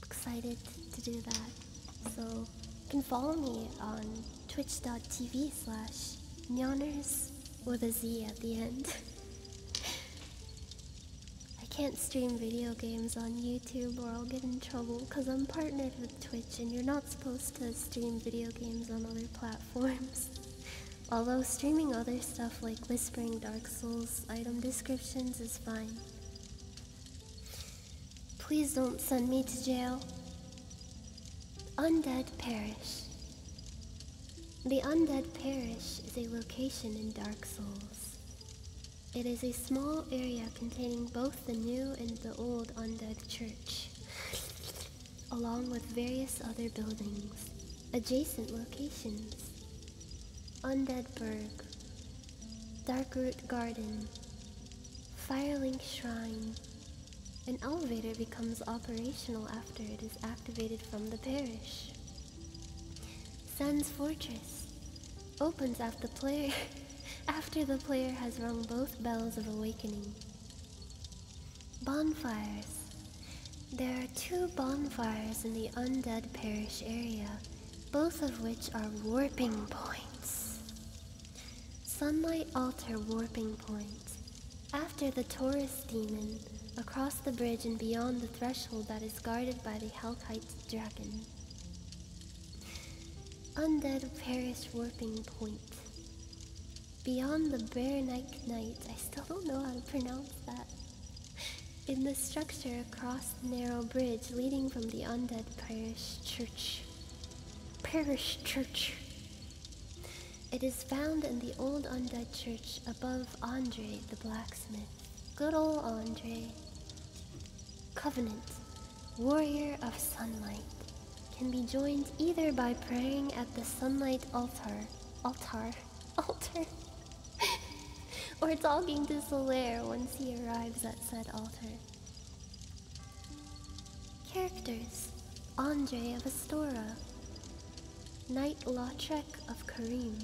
Excited to do that. So you can follow me on twitch.tv slash neoners with a Z at the end. I can't stream video games on YouTube or I'll get in trouble because I'm partnered with Twitch and you're not supposed to stream video games on other platforms. Although streaming other stuff like Whispering Dark Souls item descriptions is fine. Please don't send me to jail. Undead Parish. The Undead Parish is a location in Dark Souls. It is a small area containing both the new and the old undead church, along with various other buildings, adjacent locations. Undead Burg, Darkroot Garden, Firelink Shrine. An elevator becomes operational after it is activated from the parish. Sun's Fortress opens after the player after the player has rung both bells of awakening. Bonfires. There are two bonfires in the undead parish area, both of which are warping points. Sunlight altar warping point. After the Taurus demon, across the bridge and beyond the threshold that is guarded by the Hellkite dragon. Undead Paris Warping Point. Beyond the bare night night, I still don't know how to pronounce that. In the structure across the narrow bridge leading from the undead parish church. Parish church. It is found in the old undead church above Andre the blacksmith. Good old Andre. Covenant, warrior of sunlight, can be joined either by praying at the sunlight altar, altar, altar, or talking to Solaire once he arrives at said altar. Characters Andre of Astora, Knight Lautrec of Karim,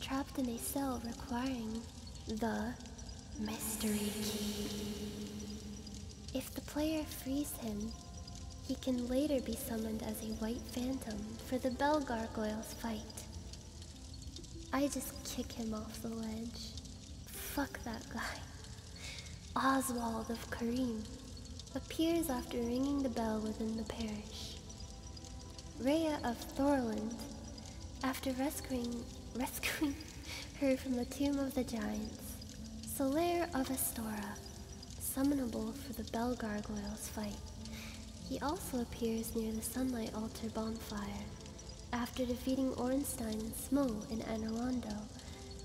trapped in a cell requiring the mystery key. If the player frees him, he can later be summoned as a white phantom for the Bell Gargoyle's fight. I just kick him off the ledge. Fuck that guy. Oswald of Kareem appears after ringing the bell within the parish. Rhea of Thorland, after rescuing, rescuing her from the tomb of the giants, Solair of Astora, summonable for the Bell Gargoyles fight. He also appears near the Sunlight Altar bonfire, after defeating Ornstein and in Anorlando,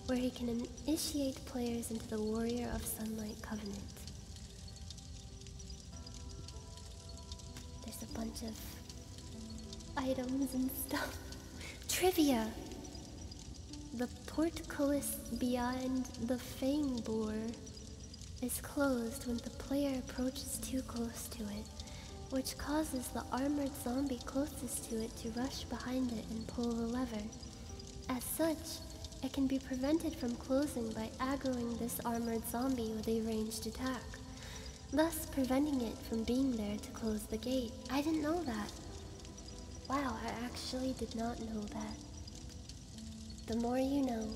where he can initiate players into the Warrior of Sunlight Covenant. There's a bunch of items and stuff. Trivia! The portcullis beyond the Fang bore is closed when the player approaches too close to it, which causes the armored zombie closest to it to rush behind it and pull the lever. As such, it can be prevented from closing by aggroing this armored zombie with a ranged attack thus preventing it from being there to close the gate. I didn't know that. Wow, I actually did not know that. The more you know.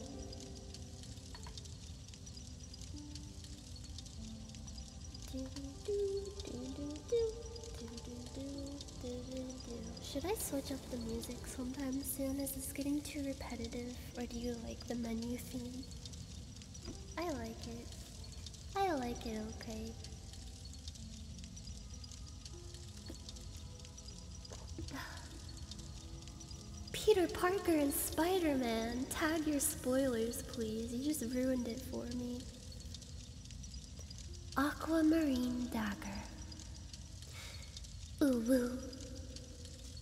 Should I switch up the music sometime soon? Is this getting too repetitive? Or do you like the menu theme? I like it. I like it okay. Peter Parker and Spider-Man. Tag your spoilers, please. You just ruined it for me. Aquamarine dagger. Ooh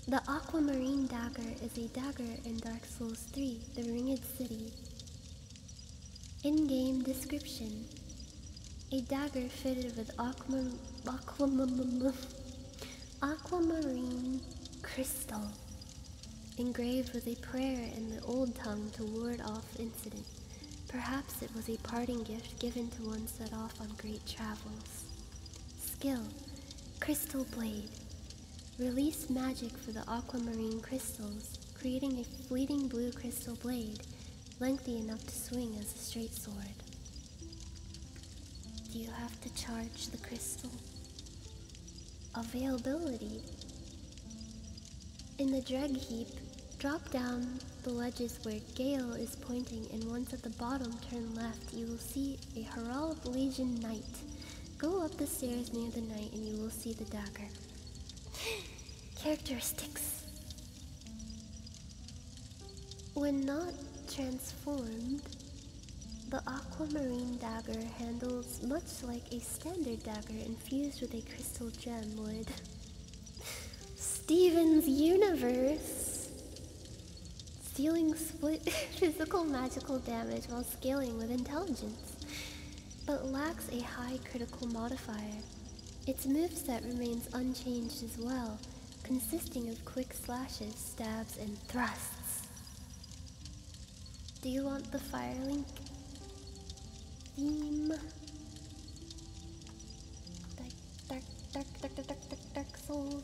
the Aquamarine Dagger is a dagger in Dark Souls 3 The Ringed City. In game description A dagger fitted with aquamarine crystal, engraved with a prayer in the Old Tongue to ward off incident. Perhaps it was a parting gift given to one set off on great travels. Skill Crystal Blade Release magic for the aquamarine crystals, creating a fleeting blue crystal blade, lengthy enough to swing as a straight sword. Do you have to charge the crystal? Availability. In the dreg heap, drop down the ledges where Gale is pointing, and once at the bottom, turn left. You will see a Harald Legion Knight Go up the stairs near the knight and you will see the dagger. Characteristics. When not transformed, the aquamarine dagger handles much like a standard dagger infused with a crystal gem would. Steven's universe! Stealing split physical magical damage while scaling with intelligence, but lacks a high critical modifier. Its move set remains unchanged as well, consisting of quick slashes, stabs, and thrusts. Do you want the fire link? Beam. dark, dark, dark, dark, dark, dark, dark souls.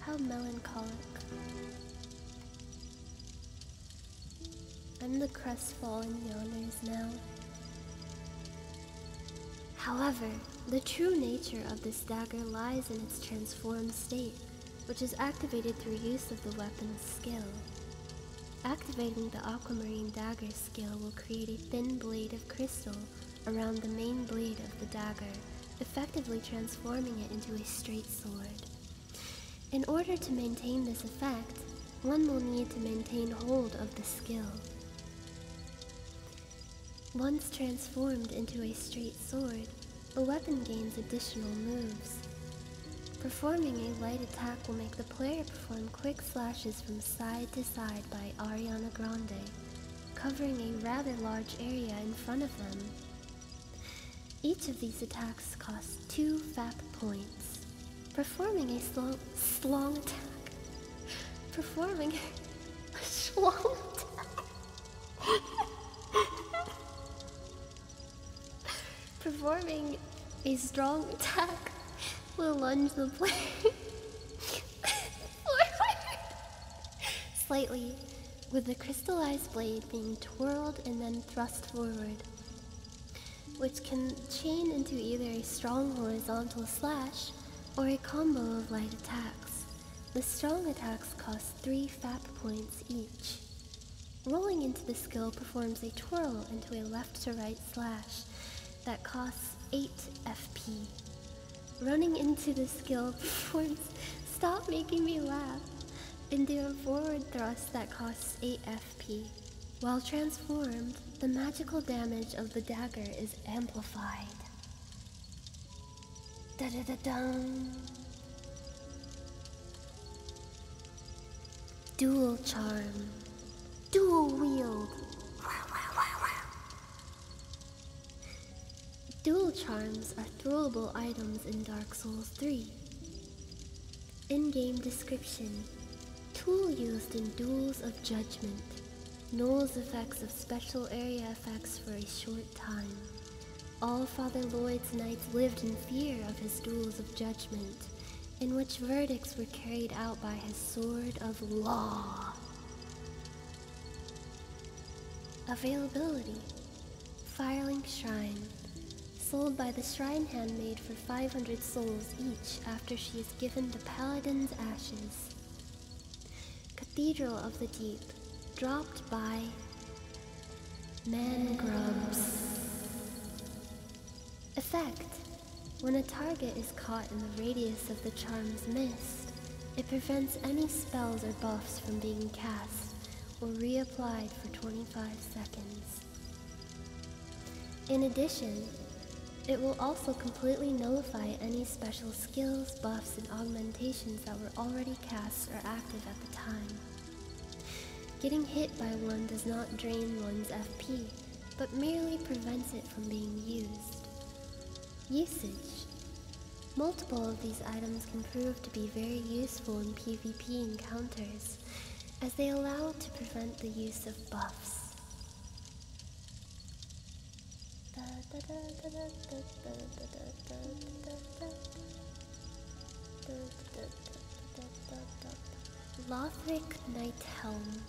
How melancholic. I'm the crestfallen yawners now. However, the true nature of this dagger lies in its transformed state, which is activated through use of the weapon's skill. Activating the aquamarine dagger's skill will create a thin blade of crystal around the main blade of the dagger, effectively transforming it into a straight sword. In order to maintain this effect, one will need to maintain hold of the skill. Once transformed into a straight sword, the weapon gains additional moves. Performing a light attack will make the player perform quick flashes from side to side by Ariana Grande, covering a rather large area in front of them. Each of these attacks costs 2 FAP points. Performing a slow, slong attack. Performing a schlong attack. Performing a strong attack will lunge the blade slightly, with the crystallized blade being twirled and then thrust forward, which can chain into either a strong horizontal slash or a combo of light attacks. The strong attacks cost 3 FAP points each. Rolling into the skill performs a twirl into a left to right slash, that costs 8 FP. Running into the skill performs stop making me laugh and do a forward thrust that costs 8 FP. While transformed, the magical damage of the dagger is amplified. Da da da dum. Dual Charm. Dual wield. Dual charms are throwable items in Dark Souls 3. In-game description. Tool used in duels of judgment. Nulls effects of special area effects for a short time. All Father Lloyd's knights lived in fear of his duels of judgment, in which verdicts were carried out by his sword of law. Availability. Firelink Shrine. Sold by the shrine handmaid for 500 souls each after she is given the paladin's ashes. Cathedral of the Deep. Dropped by... Mangroves. Effect. When a target is caught in the radius of the charm's mist, it prevents any spells or buffs from being cast or reapplied for 25 seconds. In addition, it will also completely nullify any special skills, buffs, and augmentations that were already cast or active at the time. Getting hit by one does not drain one's FP, but merely prevents it from being used. Usage. Multiple of these items can prove to be very useful in PvP encounters, as they allow to prevent the use of buffs. Lothric Helm.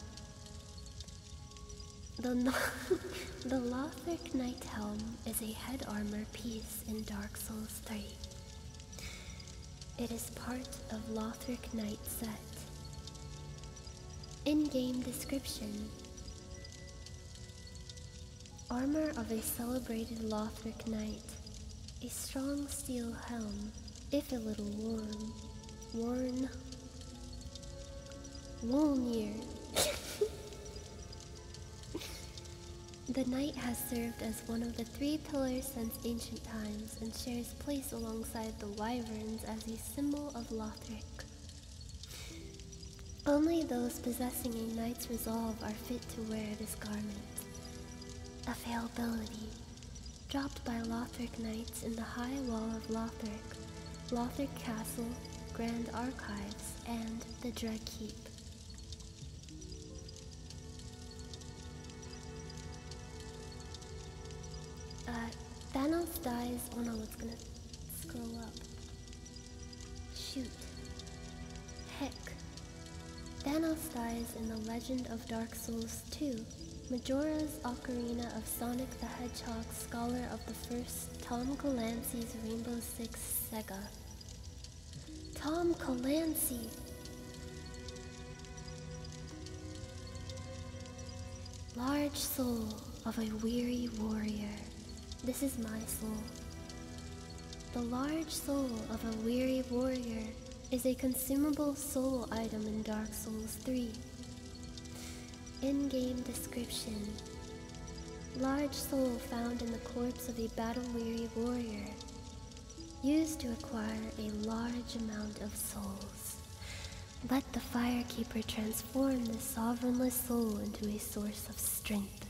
The, Lothric Knight Helm is a head armor piece in Dark Souls 3. It is part of Lothric Knight set. In-game description. Armor of a celebrated Lothric Knight. A strong steel helm, if a little worn, worn Wolnir. the knight has served as one of the three pillars since ancient times and shares place alongside the wyverns as a symbol of Lothric. Only those possessing a knight's resolve are fit to wear this garment. Availability. Dropped by Lothric knights in the high wall of Lothric, Lothar Castle, Grand Archives, and the Drug Keep. Uh, Thanos dies. Oh no, it's gonna scroll up. Shoot. Heck. Thanos dies in The Legend of Dark Souls 2, Majora's Ocarina of Sonic the Hedgehog Scholar of the First, Tom Colancy's Rainbow Six Sega. Tom Colancy! Large soul of a weary warrior. This is my soul. The large soul of a weary warrior is a consumable soul item in Dark Souls 3. In-game description. Large soul found in the corpse of a battle-weary warrior. Used to acquire a large amount of souls. Let the Firekeeper transform the sovereignless soul into a source of strength.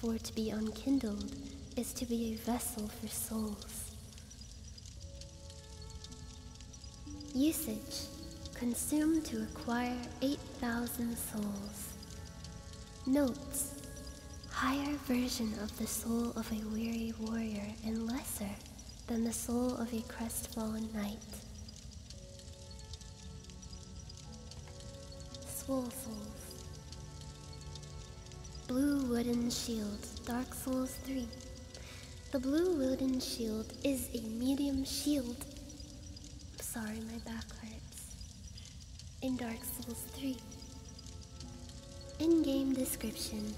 For to be unkindled is to be a vessel for souls. Usage. Consume to acquire 8,000 souls. Notes. Higher version of the soul of a weary warrior and lesser than the soul of a crestfallen knight. Swole Souls. Blue Wooden shields. Dark Souls 3. The blue wooden shield is a medium shield. I'm sorry, my back hurts. In Dark Souls 3. In game description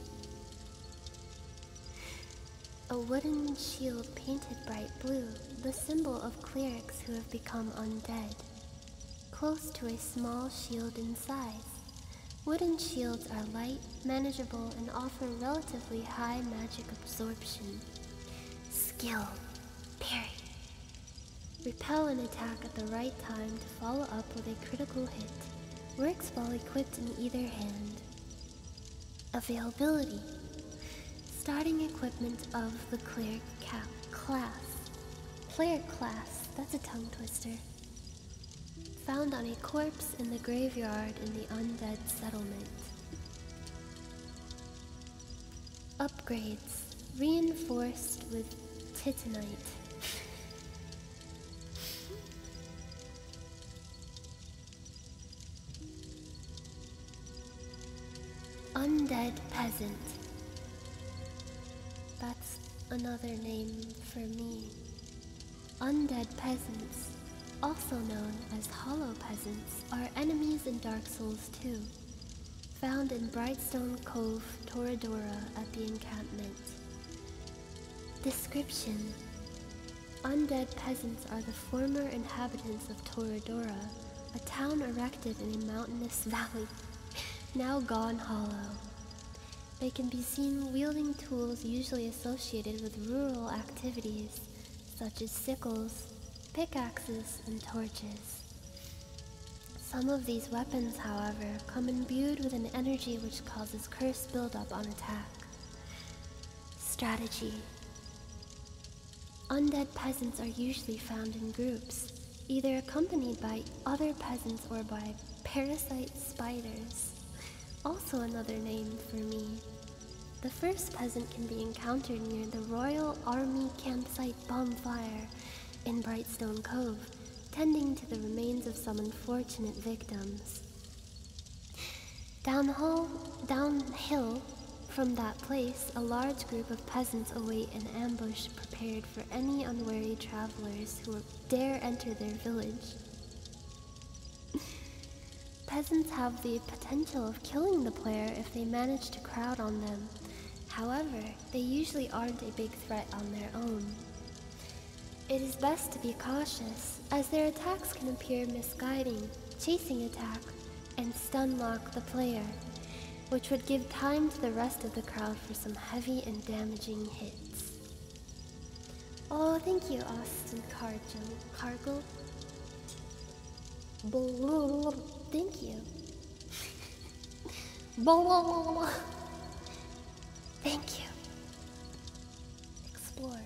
A wooden shield painted bright blue, the symbol of clerics who have become undead. Close to a small shield in size. Wooden shields are light, manageable, and offer relatively high magic absorption. Skill, parry. Repel an attack at the right time to follow up with a critical hit. Works well equipped in either hand. Availability. Starting equipment of the cleric class. Player class, that's a tongue twister. Found on a corpse in the graveyard in the undead settlement. Upgrades reinforced with titanite. Undead peasant. That's another name for me. Undead peasants also known as Hollow Peasants, are enemies in Dark Souls 2, found in Brightstone Cove, Toradora at the encampment. Description Undead peasants are the former inhabitants of Toradora, a town erected in a mountainous valley, now gone hollow. They can be seen wielding tools usually associated with rural activities, such as sickles, pickaxes, and torches. Some of these weapons, however, come imbued with an energy which causes curse buildup on attack. Strategy Undead peasants are usually found in groups, either accompanied by other peasants or by parasite spiders, also another name for me, the first peasant can be encountered near the Royal Army campsite bonfire in Brightstone Cove, tending to the remains of some unfortunate victims. Downhill, downhill from that place, a large group of peasants await an ambush prepared for any unwary travelers who dare enter their village. Peasants have the potential of killing the player if they manage to crowd on them. However, they usually aren't a big threat on their own. It is best to be cautious, as their attacks can appear misguiding, chasing attack, and stun lock the player, which would give time to the rest of the crowd for some heavy and damaging hits. Oh, thank you, Austin Cargo. Cargo. Thank you. Thank you. Explore.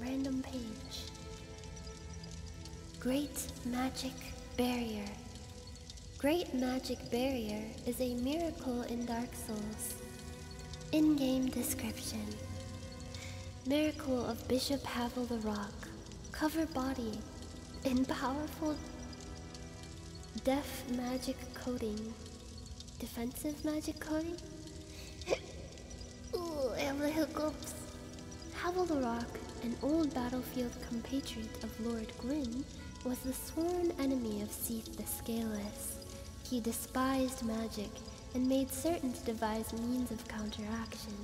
Random page. Great Magic Barrier. Great Magic Barrier is a miracle in Dark Souls. In game description. Miracle of Bishop Havel the Rock. Cover body in powerful deaf magic coating. Defensive magic coating? Oh, I have the hiccups. Havel the Rock, an old battlefield compatriot of Lord Gwyn, was the sworn enemy of Seath the Scaleless. He despised magic and made certain to devise means of counteraction.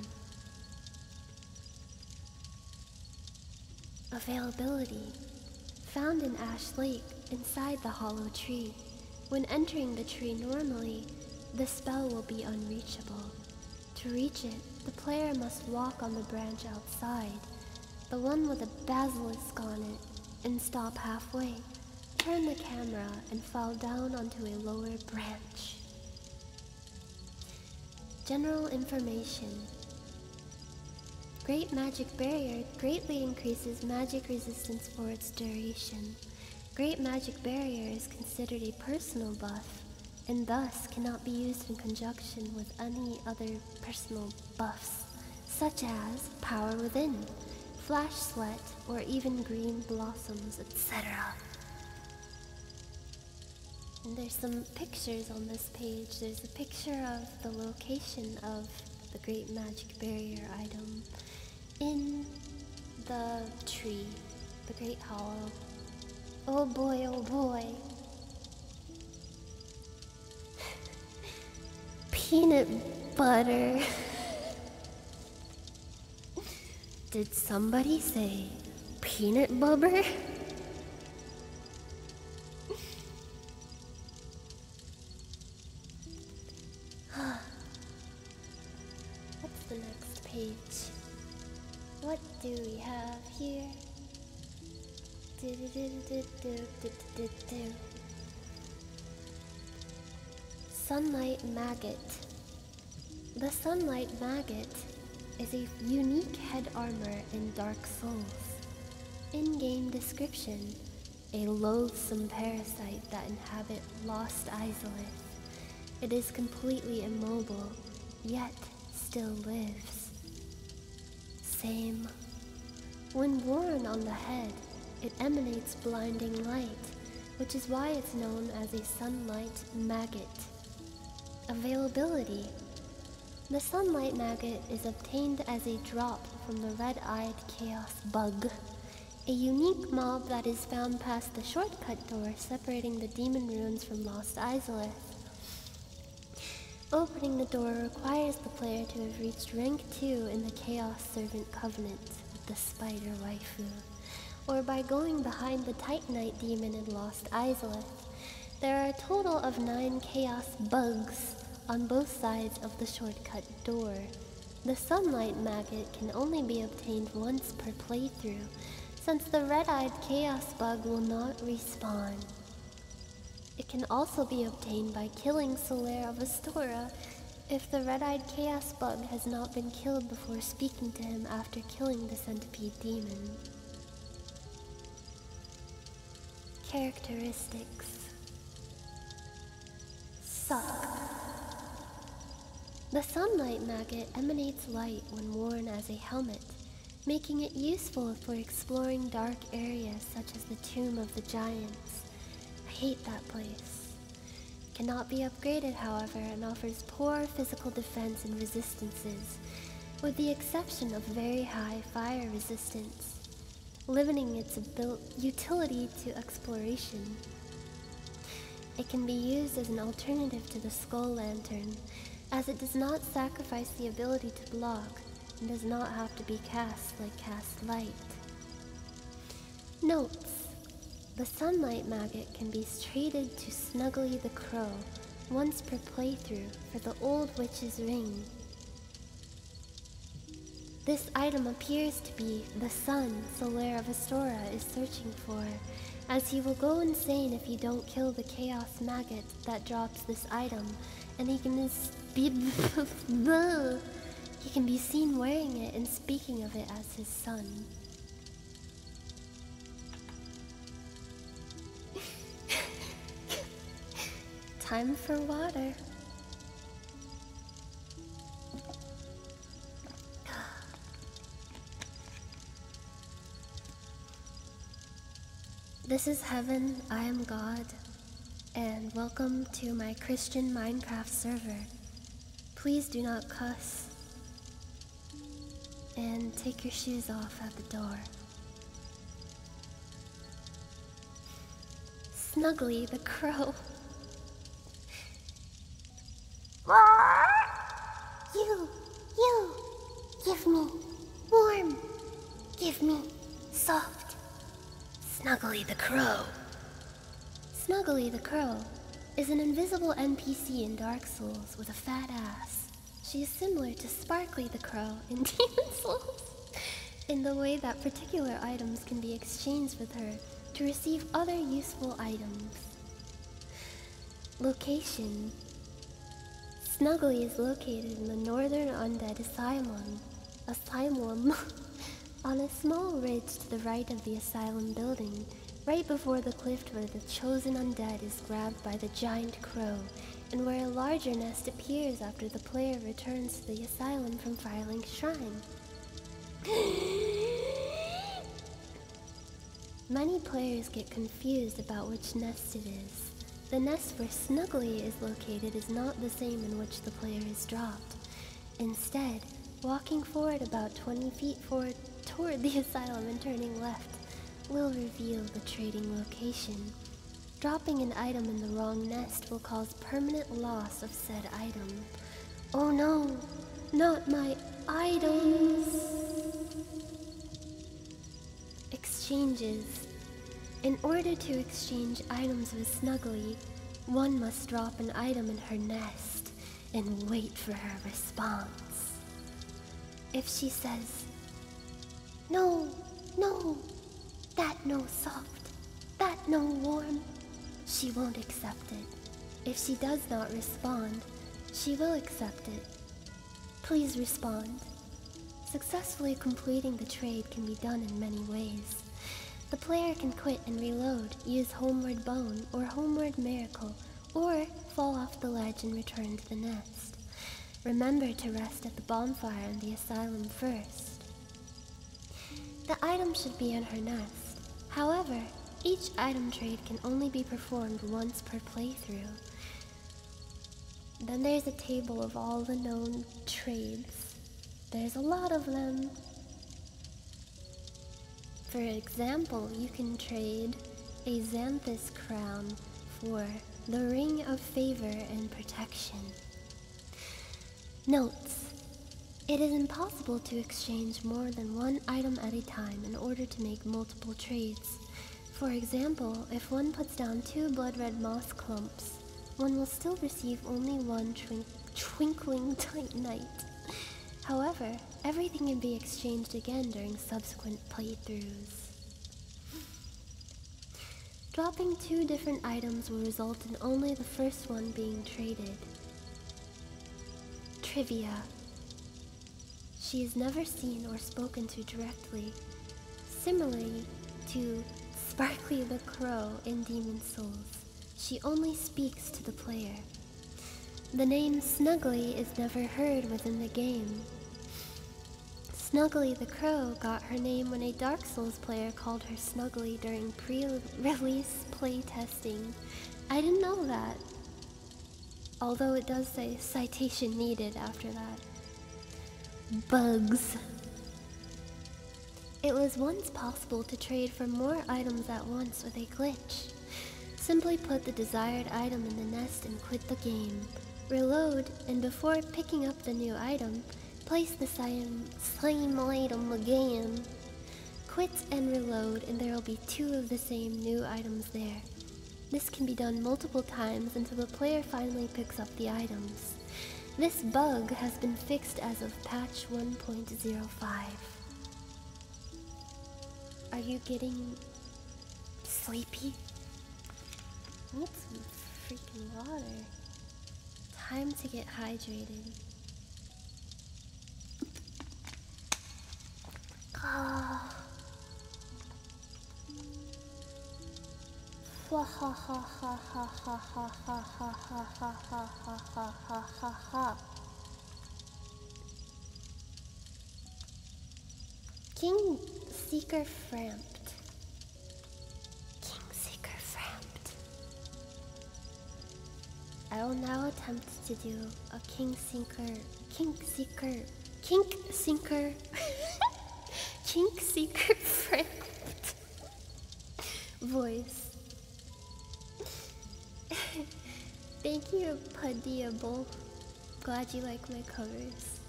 Availability. Found in Ash Lake, inside the hollow tree. When entering the tree normally, the spell will be unreachable. To reach it, the player must walk on the branch outside, the one with a basilisk on it, and stop halfway, Turn the camera and fall down onto a lower branch. General information. Great Magic Barrier greatly increases magic resistance for its duration. Great Magic Barrier is considered a personal buff, and thus cannot be used in conjunction with any other personal buffs, such as Power Within, Flash Sweat, or even green blossoms, etc. And there's some pictures on this page. There's a picture of the location of the Great Magic Barrier item in the tree, the Great Hollow. Oh boy, oh boy. Peanut butter. Did somebody say peanut bubber? What's the next page? What do we have here? Sunlight Maggot. The Sunlight Maggot is a unique head armor in Dark Souls. In-game description, a loathsome parasite that inhabit Lost Isolith. It is completely immobile, yet still lives. Same. When worn on the head, it emanates blinding light which is why it's known as a sunlight maggot. Availability The sunlight maggot is obtained as a drop from the red eyed chaos bug, a unique mob that is found past the shortcut door separating the demon ruins from Lost Isolith. Opening the door requires the player to have reached rank 2 in the Chaos Servant Covenant with the Spider wifu or by going behind the Titanite demon in Lost Isleth. There are a total of nine chaos bugs on both sides of the shortcut door. The sunlight maggot can only be obtained once per playthrough, since the red-eyed chaos bug will not respawn. It can also be obtained by killing Solaire of Astora if the red-eyed chaos bug has not been killed before speaking to him after killing the centipede demon. Characteristics Suck. The sunlight maggot emanates light when worn as a helmet, making it useful for exploring dark areas such as the Tomb of the Giants. I hate that place cannot be upgraded, however, and offers poor physical defense and resistances, with the exception of very high fire resistance, limiting its utility to exploration. It can be used as an alternative to the Skull Lantern, as it does not sacrifice the ability to block and does not have to be cast like Cast Light. Notes. The sunlight maggot can be traded to Snuggly the Crow once per playthrough for the old witch's ring. This item appears to be the sun Solaire of Astora is searching for, as he will go insane if you don't kill the chaos maggot that drops this item, and he can be he can be seen wearing it and speaking of it as his son. Time for water. This is heaven, I am God, and welcome to my Christian Minecraft server. Please do not cuss. And take your shoes off at the door. Snuggly the crow. You, you, give me warm, give me soft. Snuggly the crow. Snuggly the Crow is an invisible NPC in Dark Souls with a fat ass. She is similar to Sparkly the Crow in Demon Souls in the way that particular items can be exchanged with her to receive other useful items. Location Snuggly is located in the Northern Undead Asylum. Asylum. On a small ridge to the right of the asylum building, right before the cliff where the chosen undead is grabbed by the giant crow, and where a larger nest appears after the player returns to the asylum from Firelink's shrine. Many players get confused about which nest it is. The nest where Snuggly is located is not the same in which the player is dropped. Instead, walking forward about 20 feet forward toward the asylum and turning left will reveal the trading location. Dropping an item in the wrong nest will cause permanent loss of said item. Oh no, not my items! Exchanges. In order to exchange items with Snuggly, one must drop an item in her nest and wait for her response. If she says, No, no, that no soft, that no warm, she won't accept it. If she does not respond, she will accept it. Please respond. Successfully completing the trade can be done in many ways. The player can quit and reload, use Homeward Bone or Homeward Miracle or fall off the ledge and return to the nest. Remember to rest at the bonfire in the asylum first. The item should be in her nest. However, each item trade can only be performed once per playthrough. Then there's a table of all the known trades. There's a lot of them. For example, you can trade a Xanthus crown for the Ring of Favor and Protection. Notes It is impossible to exchange more than one item at a time in order to make multiple trades. For example, if one puts down two blood red moss clumps, one will still receive only one twinkling tight knight. However, Everything can be exchanged again during subsequent playthroughs. Dropping two different items will result in only the first one being traded. Trivia. She is never seen or spoken to directly, similarly to Sparkly the Crow in Demon Souls. She only speaks to the player. The name Snuggly is never heard within the game. Snuggly the Crow got her name when a Dark Souls player called her Snuggly during pre-release playtesting. I didn't know that. Although it does say citation needed after that. Bugs. It was once possible to trade for more items at once with a glitch. Simply put the desired item in the nest and quit the game. Reload, and before picking up the new item, place the same, same item again. Quit and reload, and there will be two of the same new items there. This can be done multiple times until the player finally picks up the items. This bug has been fixed as of patch 1.05. Are you getting sleepy? Need some freaking water. Time to get hydrated. Ah. Ha ha ha ha ha ha ha ha ha ha ha ha ha ha ha ha ha. King Seeker Framped. King Seeker Framped. I will now attempt to do a King Seeker, King Seeker, Kink Seeker, King Seeker Framped voice. Thank you, Padiable. Glad you like my covers.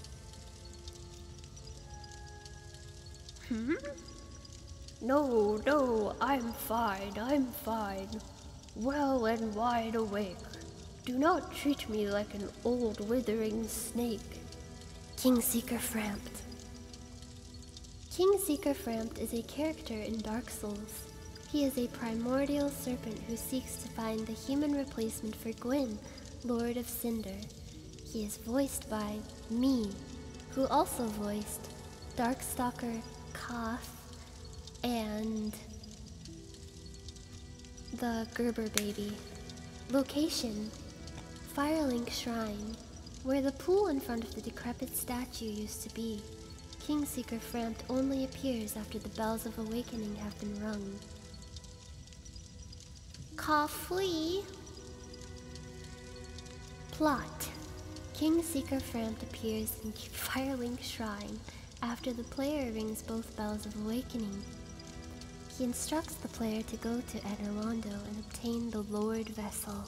Hmm? No, no, I'm fine, I'm fine. Well and wide awake. Do not treat me like an old withering snake. Kingseeker Frampt. Kingseeker Frampt is a character in Dark Souls. He is a primordial serpent who seeks to find the human replacement for Gwyn, Lord of Cinder. He is voiced by me, who also voiced Darkstalker, Koth, and the Gerber baby. Location Firelink Shrine, where the pool in front of the decrepit statue used to be. Kingseeker Framped only appears after the bells of awakening have been rung. Coffee. Plot. Kingseeker Framped appears in Firelink Shrine after the player rings both bells of awakening. He instructs the player to go to Enerlondo and obtain the Lord Vessel.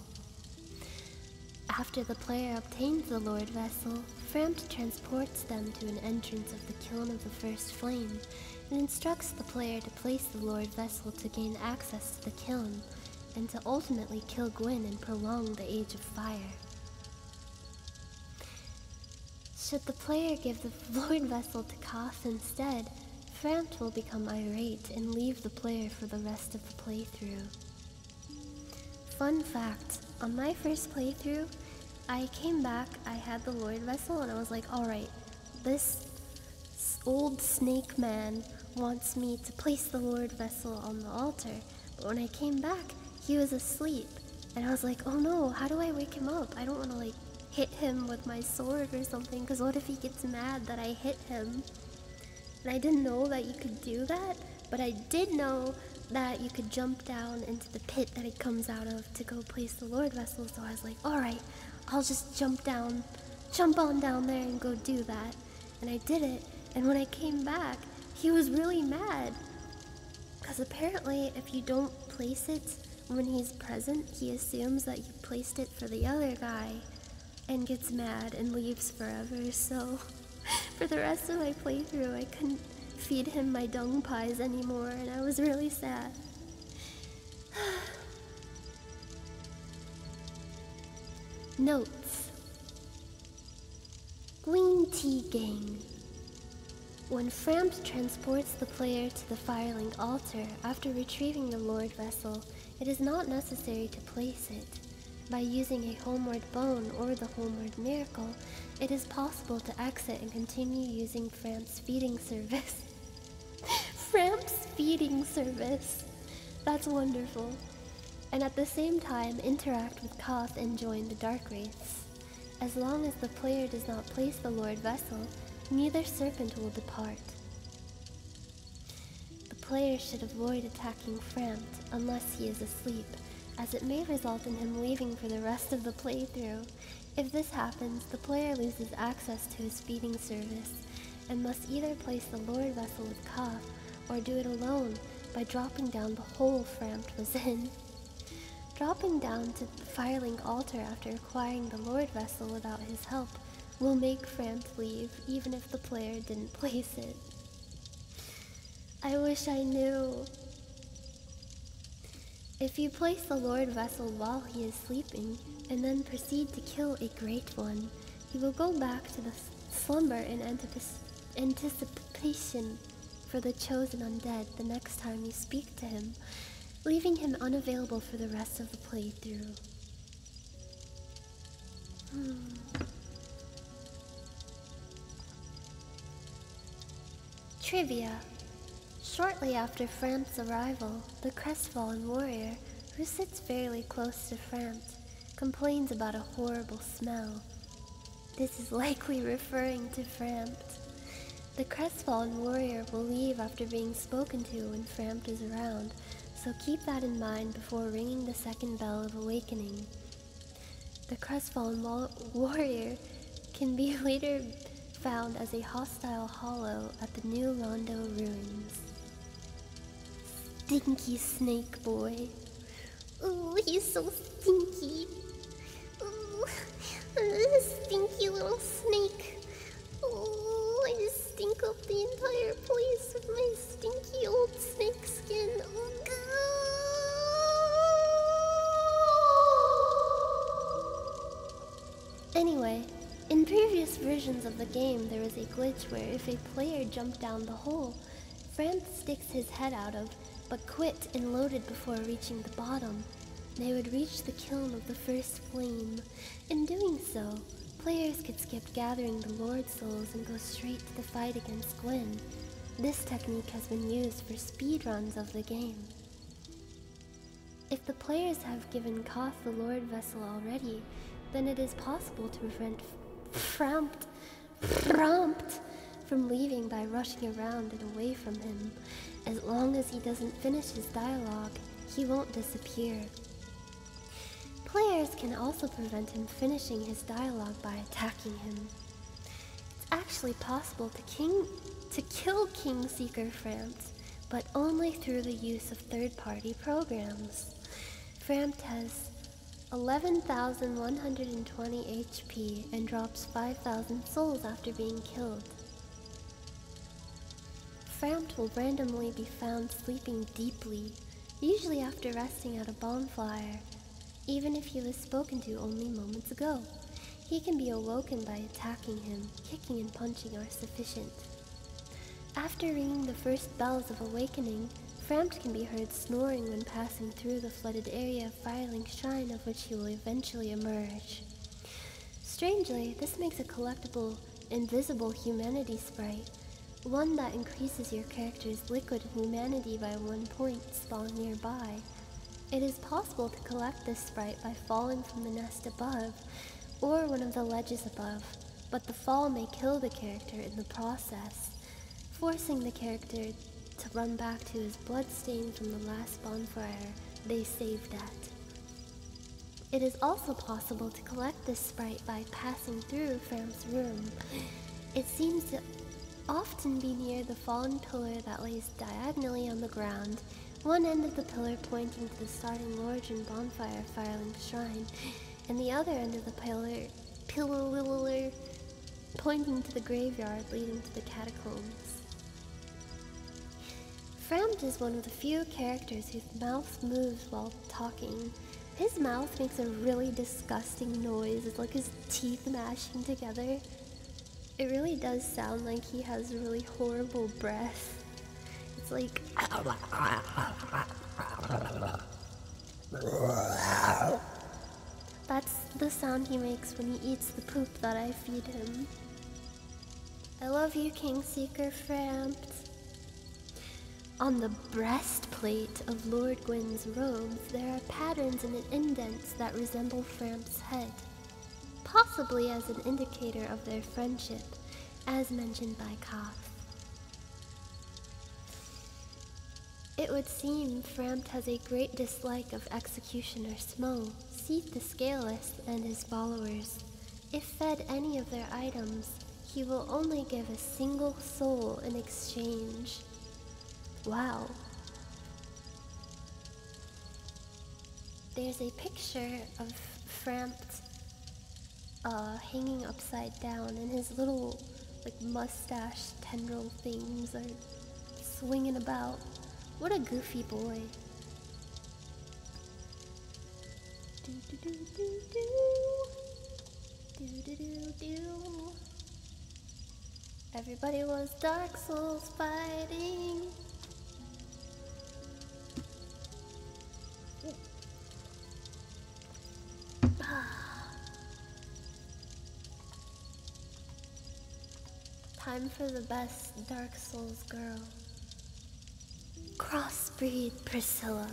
After the player obtains the Lord Vessel, Frampt transports them to an entrance of the Kiln of the First Flame and instructs the player to place the Lord Vessel to gain access to the kiln and to ultimately kill Gwyn and prolong the Age of Fire. Should the player give the Lord Vessel to Koth instead, Frampt will become irate and leave the player for the rest of the playthrough. Fun fact on my first playthrough, I came back, I had the Lord Vessel, and I was like, alright, this old snake man wants me to place the Lord Vessel on the altar. But when I came back, he was asleep. And I was like, oh no, how do I wake him up? I don't want to, like, hit him with my sword or something, because what if he gets mad that I hit him? And I didn't know that you could do that. But I did know that you could jump down into the pit that it comes out of to go place the Lord Vessel, so I was like, alright, I'll just jump down, jump on down there and go do that. And I did it, and when I came back, he was really mad. Because apparently, if you don't place it when he's present, he assumes that you placed it for the other guy and gets mad and leaves forever, so. For the rest of my playthrough, I couldn't feed him my dung pies anymore, and I was really sad. Notes Green Tea Gang. When Frampt transports the player to the Firelink altar after retrieving the Lord Vessel, it is not necessary to place it. By using a homeward bone or the homeward miracle, it is possible to exit and continue using Framt's feeding service. Framp's feeding service! That's wonderful. And at the same time, interact with Koth and join the Dark race. As long as the player does not place the Lord Vessel, neither serpent will depart. The player should avoid attacking Framt unless he is asleep, as it may result in him leaving for the rest of the playthrough. If this happens, the player loses access to his feeding service and must either place the Lord Vessel with Ka or do it alone by dropping down the hole Frampt was in. Dropping down to the Firelink altar after acquiring the Lord Vessel without his help will make Frampt leave even if the player didn't place it. I wish I knew. If you place the Lord Vessel while he is sleeping, and then proceed to kill a great one, he will go back to the slumber in anticipation for the chosen undead the next time you speak to him, leaving him unavailable for the rest of the playthrough. Hmm. Trivia Shortly after Fram's arrival, the crestfallen warrior, who sits fairly close to Fram, complains about a horrible smell. This is likely referring to Frampt. The crestfallen warrior will leave after being spoken to when Frampt is around, so keep that in mind before ringing the second bell of awakening. The crestfallen warrior can be later found as a hostile hollow at the new Rondo ruins. Stinky snake boy. Oh, he's so stinky. Oh, this stinky little snake. Oh, I just stink up the entire place with my stinky old snake Anyway, in previous versions of the game, there was a glitch where if a player jumped down the hole, Franz sticks his head out of, but quit and loaded before reaching the bottom. They would reach the kiln of the first flame. In doing so, players could skip gathering the Lord Souls and go straight to the fight against Gwen, this technique has been used for speedruns of the game. If the players have given Koth the Lord Vessel already, then it is possible to prevent Frampt from leaving by rushing around and away from him. As long as he doesn't finish his dialogue, he won't disappear. Players can also prevent him finishing his dialogue by attacking him. It's actually possible to kill King Seeker France, but only through the use of third-party programs. Frampt has 11,120 HP and drops 5,000 souls after being killed. Frampt will randomly be found sleeping deeply, usually after resting at a bonfire even if he was spoken to only moments ago. He can be awoken by attacking him, kicking and punching are sufficient. After ringing the first bells of awakening, Frampt can be heard snoring when passing through the flooded area of Firelink Shrine of which he will eventually emerge. Strangely, this makes a collectible, invisible humanity sprite, one that increases your character's liquid humanity by one point spawned nearby, it is possible to collect this sprite by falling from the nest above, or one of the ledges above, but the fall may kill the character in the process, forcing the character to run back to his bloodstain from the last bonfire they saved at. It is also possible to collect this sprite by passing through Pham's room. It seems that often be near the fallen pillar that lays diagonally on the ground, one end of the pillar pointing to the starting origin bonfire of Fireling's shrine, and the other end of the pillar, pillar pointing to the graveyard leading to the catacombs. Framd is one of the few characters whose mouth moves while talking. His mouth makes a really disgusting noise, it's like his teeth mashing together. It really does sound like he has really horrible breath. It's like. That's the sound he makes when he eats the poop that I feed him. I love you, King Seeker Frampt. On the breastplate of Lord Gwyn's robes, there are patterns and an indent that resemble Framp's head, possibly as an indicator of their friendship, as mentioned by Koth. It would seem Frampt has a great dislike of Executioner Smo, Seath the Scaleless, and his followers. If fed any of their items, he will only give a single soul in exchange. Wow. There's a picture of Frampt uh, hanging upside down, and his little like mustache tendril things are swinging about. What a goofy boy. Everybody was Dark Souls fighting. Time for the best Dark Souls girl. Crossbreed Priscilla.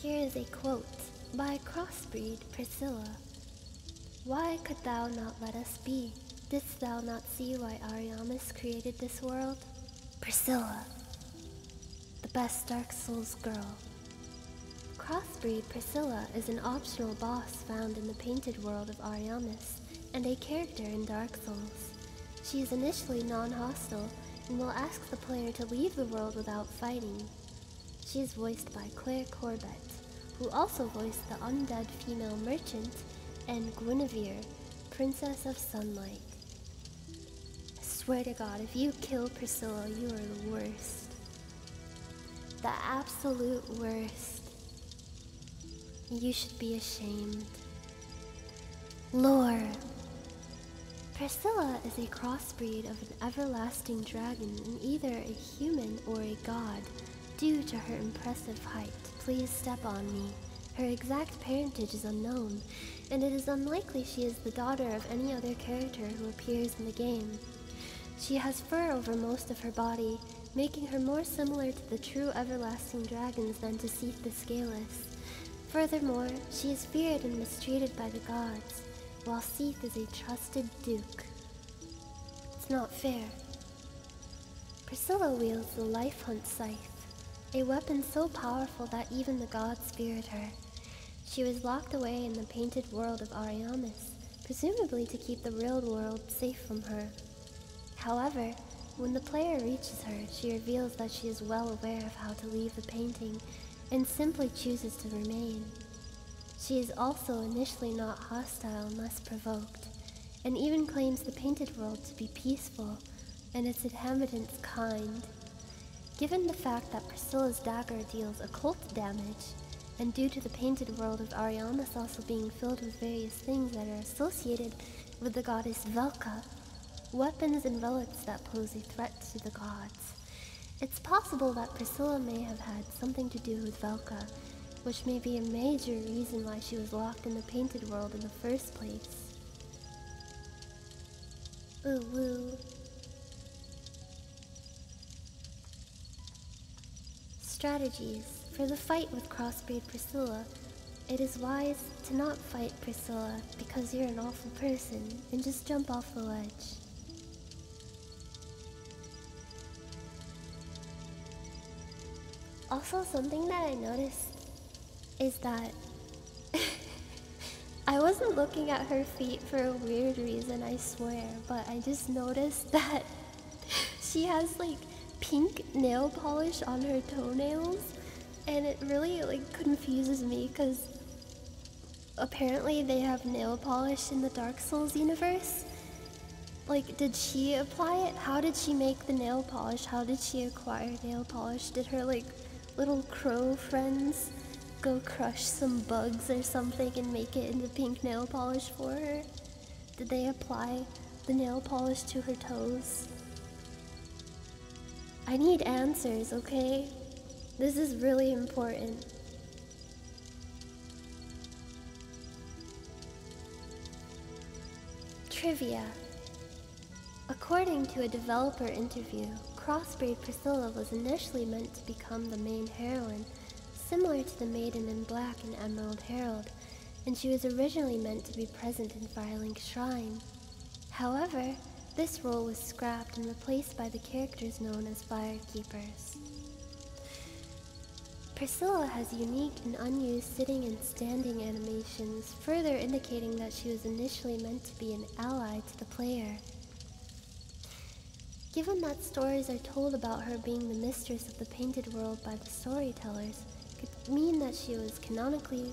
Here is a quote by Crossbreed Priscilla why could thou not let us be? Didst thou not see why Ariamis created this world? Priscilla, the best Dark Souls girl. Crossbreed Priscilla is an optional boss found in the painted world of Ariamis, and a character in Dark Souls. She is initially non-hostile, and will ask the player to leave the world without fighting, She's voiced by Claire Corbett, who also voiced the undead female merchant and Guinevere, Princess of Sunlight. I swear to God, if you kill Priscilla, you are the worst. The absolute worst. You should be ashamed. Lord. Priscilla is a crossbreed of an everlasting dragon and either a human or a god, due to her impressive height. Please step on me. Her exact parentage is unknown, and it is unlikely she is the daughter of any other character who appears in the game. She has fur over most of her body, making her more similar to the true everlasting dragons than to Seath the Scaleless. Furthermore, she is feared and mistreated by the gods, while Seath is a trusted duke. It's not fair. Priscilla wields the Life Hunt Scythe, a weapon so powerful that even the gods feared her. She was locked away in the painted world of Ariamis, presumably to keep the real world safe from her. However, when the player reaches her, she reveals that she is well aware of how to leave the painting and simply chooses to remain. She is also initially not hostile unless provoked, and even claims the painted world to be peaceful and its inhabitants kind. Given the fact that Priscilla's dagger deals occult damage, and due to the painted world of Arianas also being filled with various things that are associated with the goddess Velka, weapons and relics that pose a threat to the gods. It's possible that Priscilla may have had something to do with Velka, which may be a major reason why she was locked in the painted world in the first place. Ooh woo. Strategies. For the fight with crossbreed Priscilla, it is wise to not fight Priscilla because you're an awful person and just jump off the ledge. Also, something that I noticed is that I wasn't looking at her feet for a weird reason, I swear, but I just noticed that she has like pink nail polish on her toenails and it really like confuses me cuz apparently they have nail polish in the Dark Souls universe. Like, did she apply it? How did she make the nail polish? How did she acquire nail polish? Did her, like, little crow friends go crush some bugs or something and make it into pink nail polish for her? Did they apply the nail polish to her toes? I need answers, okay? This is really important. Trivia. According to a developer interview, crossbreed Priscilla was initially meant to become the main heroine, similar to the Maiden in Black and Emerald Herald, and she was originally meant to be present in Firelink shrine. However, this role was scrapped and replaced by the characters known as Firekeepers. Priscilla has unique and unused sitting and standing animations, further indicating that she was initially meant to be an ally to the player. Given that stories are told about her being the mistress of the painted world by the storytellers, could mean that she was canonically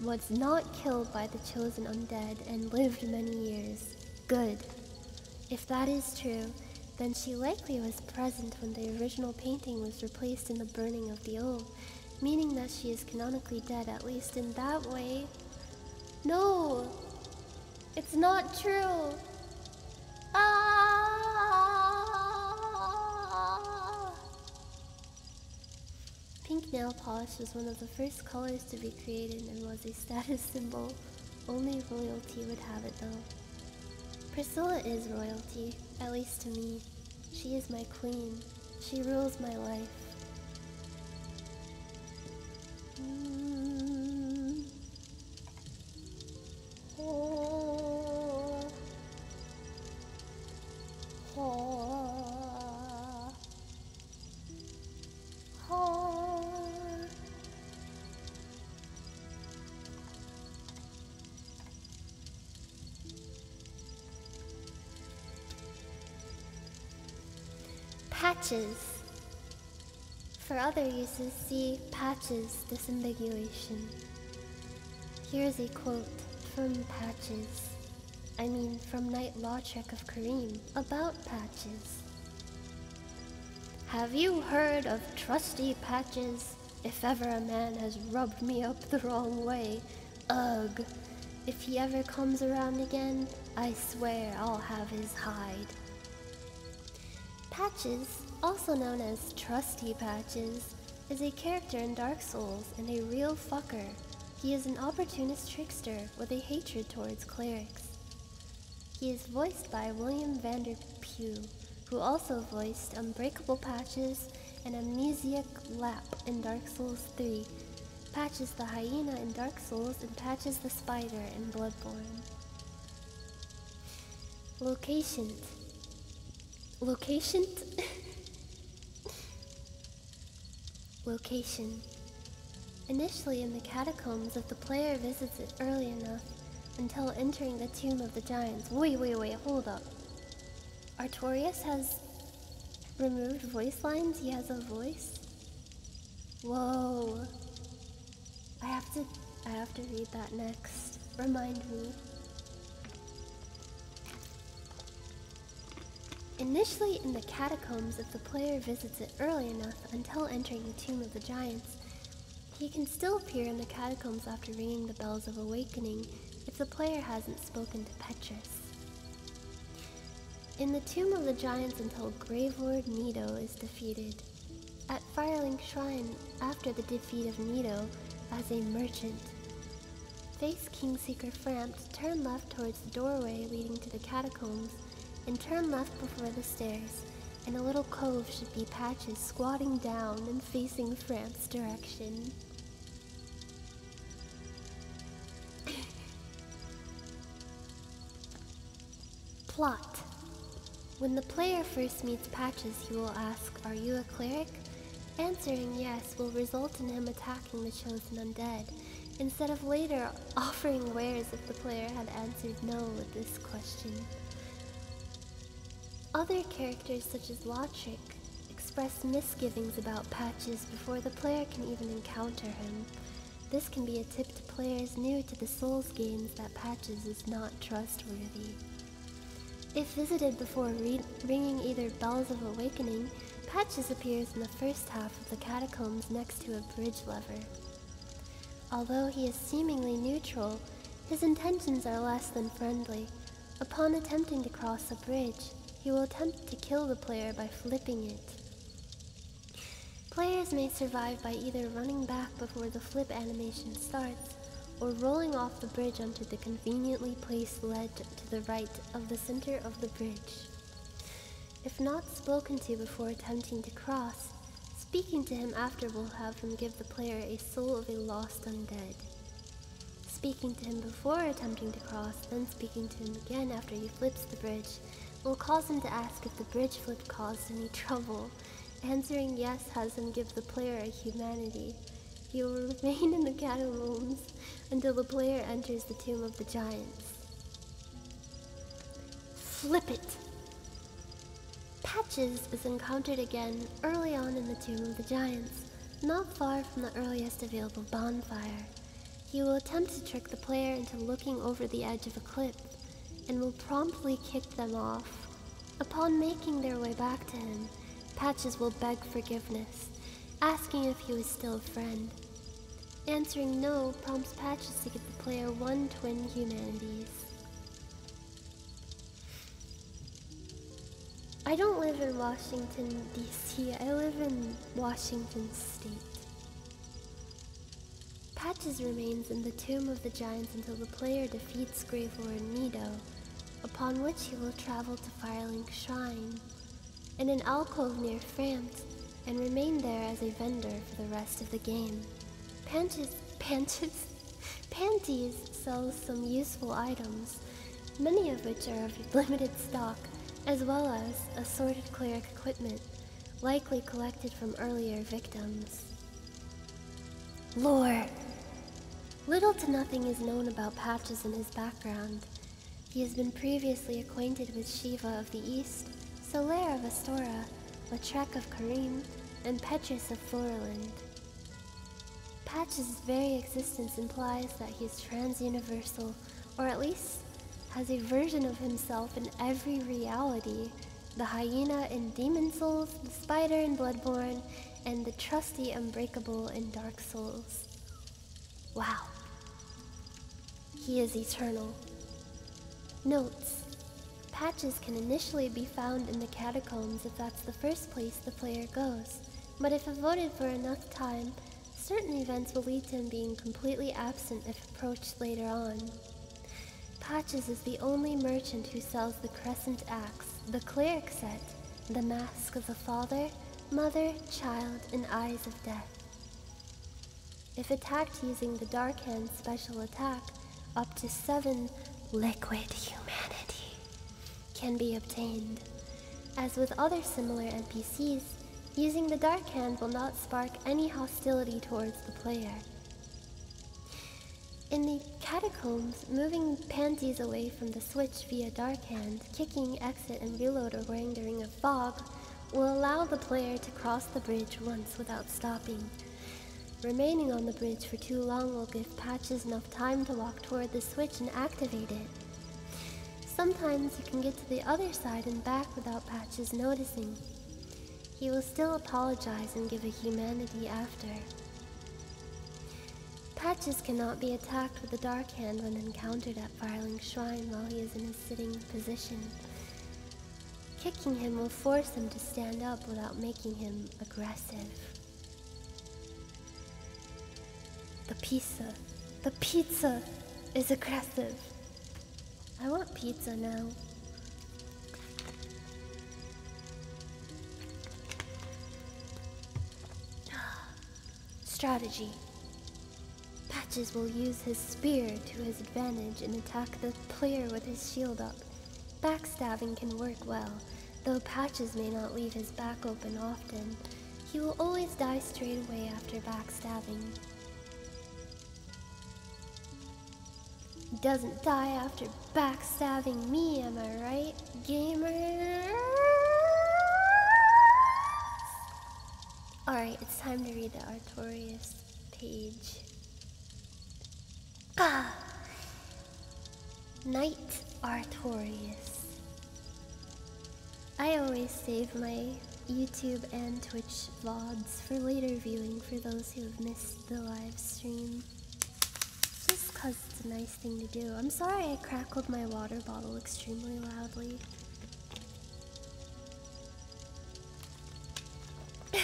was not killed by the chosen undead and lived many years. Good. If that is true, then she likely was present when the original painting was replaced in the burning of the old, meaning that she is canonically dead, at least in that way. No! It's not true! Ah! Pink nail polish was one of the first colors to be created and was a status symbol. Only royalty would have it though. Priscilla is royalty, at least to me. She is my queen. She rules my life. Mm. Mm. Oh. Oh. Patches. For other uses, see Patches disambiguation. Here's a quote from Patches. I mean, from Night Law Trek of Kareem about patches. Have you heard of trusty patches? If ever a man has rubbed me up the wrong way, ugh. If he ever comes around again, I swear I'll have his hide. Patches, also known as Trusty Patches, is a character in Dark Souls and a real fucker. He is an opportunist trickster with a hatred towards clerics. He is voiced by William Vander Pew, who also voiced Unbreakable Patches and Amnesiac Lap in Dark Souls 3, Patches the Hyena in Dark Souls, and Patches the Spider in Bloodborne. Locations. Locations? Location. Initially in the catacombs, if the player visits it early enough, until entering the Tomb of the Giants. Wait, wait, wait, hold up. Artorius has removed voice lines? He has a voice? Whoa. I have to I have to read that next. Remind me. Initially in the catacombs if the player visits it early enough until entering the Tomb of the Giants, he can still appear in the catacombs after ringing the bells of awakening if the player hasn't spoken to Petrus. In the Tomb of the Giants until Grave Lord Nido is defeated. At Firelink Shrine after the defeat of Nido as a merchant. Face Kingseeker Framt, turn left towards the doorway leading to the catacombs, and turn left before the stairs, and a little cove should be Patches squatting down and facing Framp's direction. Plot. When the player first meets Patches, he will ask, Are you a cleric? Answering yes will result in him attacking the chosen undead, instead of later offering wares if the player had answered no with this question. Other characters such as Lotrick express misgivings about patches before the player can even encounter him. This can be a tip to players new to the Souls games that Patches is not trustworthy. If visited before ringing either Bells of Awakening, Patches appears in the first half of the Catacombs next to a bridge lever. Although he is seemingly neutral, his intentions are less than friendly. Upon attempting to cross a bridge, he will attempt to kill the player by flipping it. Players may survive by either running back before the flip animation starts, or rolling off the bridge onto the conveniently placed ledge to the right of the center of the bridge. If not spoken to before attempting to cross, Speaking to him after will have him give the player a soul of a lost undead. Speaking to him before attempting to cross, then speaking to him again after he flips the bridge, will cause him to ask if the bridge flip caused any trouble. Answering yes has him give the player a humanity. He will remain in the catacombs until the player enters the tomb of the giants. Flip it! Patches is encountered again early on in the Tomb of the Giants, not far from the earliest available bonfire. He will attempt to trick the player into looking over the edge of a cliff, and will promptly kick them off. Upon making their way back to him, Patches will beg forgiveness, asking if he was still a friend. Answering no prompts Patches to give the player one twin humanities. I don't live in Washington, D.C., I live in Washington State. Patches remains in the Tomb of the Giants until the player defeats Grave Lord Nido, upon which he will travel to Firelink Shrine, in an alcove near France, and remain there as a vendor for the rest of the game. Patches, Patches, Panties sells some useful items, many of which are of limited stock, as well as assorted cleric equipment, likely collected from earlier victims. Lore Little to nothing is known about Patches in his background. He has been previously acquainted with Shiva of the East, Solaire of Astora, Latrec of Kareem, and Petrus of of Patch's very existence implies that he is transuniversal, or at least has a version of himself in every reality. The hyena in Demon Souls, the spider in Bloodborne, and the trusty Unbreakable in Dark Souls. Wow. He is eternal. Notes Patches can initially be found in the catacombs if that's the first place the player goes, but if avoided for enough time, certain events will lead to him being completely absent if approached later on. Patches is the only merchant who sells the Crescent Axe, the Cleric Set, the Mask of the Father, Mother, Child, and Eyes of Death. If attacked using the Dark Hand special attack, up to seven liquid humanity can be obtained. As with other similar NPCs, using the Dark Hand will not spark any hostility towards the player. In the catacombs, moving pansies away from the switch via Dark Hand, kicking, exit, and reload or wearing during a fog will allow the player to cross the bridge once without stopping. Remaining on the bridge for too long will give Patches enough time to walk toward the switch and activate it. Sometimes you can get to the other side and back without Patches noticing. He will still apologize and give a humanity after. Patches cannot be attacked with the Dark Hand when encountered at Fireling's shrine while he is in a sitting position. Kicking him will force him to stand up without making him aggressive. The pizza. The pizza is aggressive. I want pizza now. Strategy. Patches will use his spear to his advantage and attack the player with his shield up. Backstabbing can work well, though Patches may not leave his back open often. He will always die straight away after backstabbing. He doesn't die after backstabbing me, am I right, gamers? Alright, it's time to read the Artorias page. Ah. Knight Artorius. I always save my YouTube and Twitch vlogs for later viewing for those who have missed the live stream. Just cause it's a nice thing to do. I'm sorry I crackled my water bottle extremely loudly.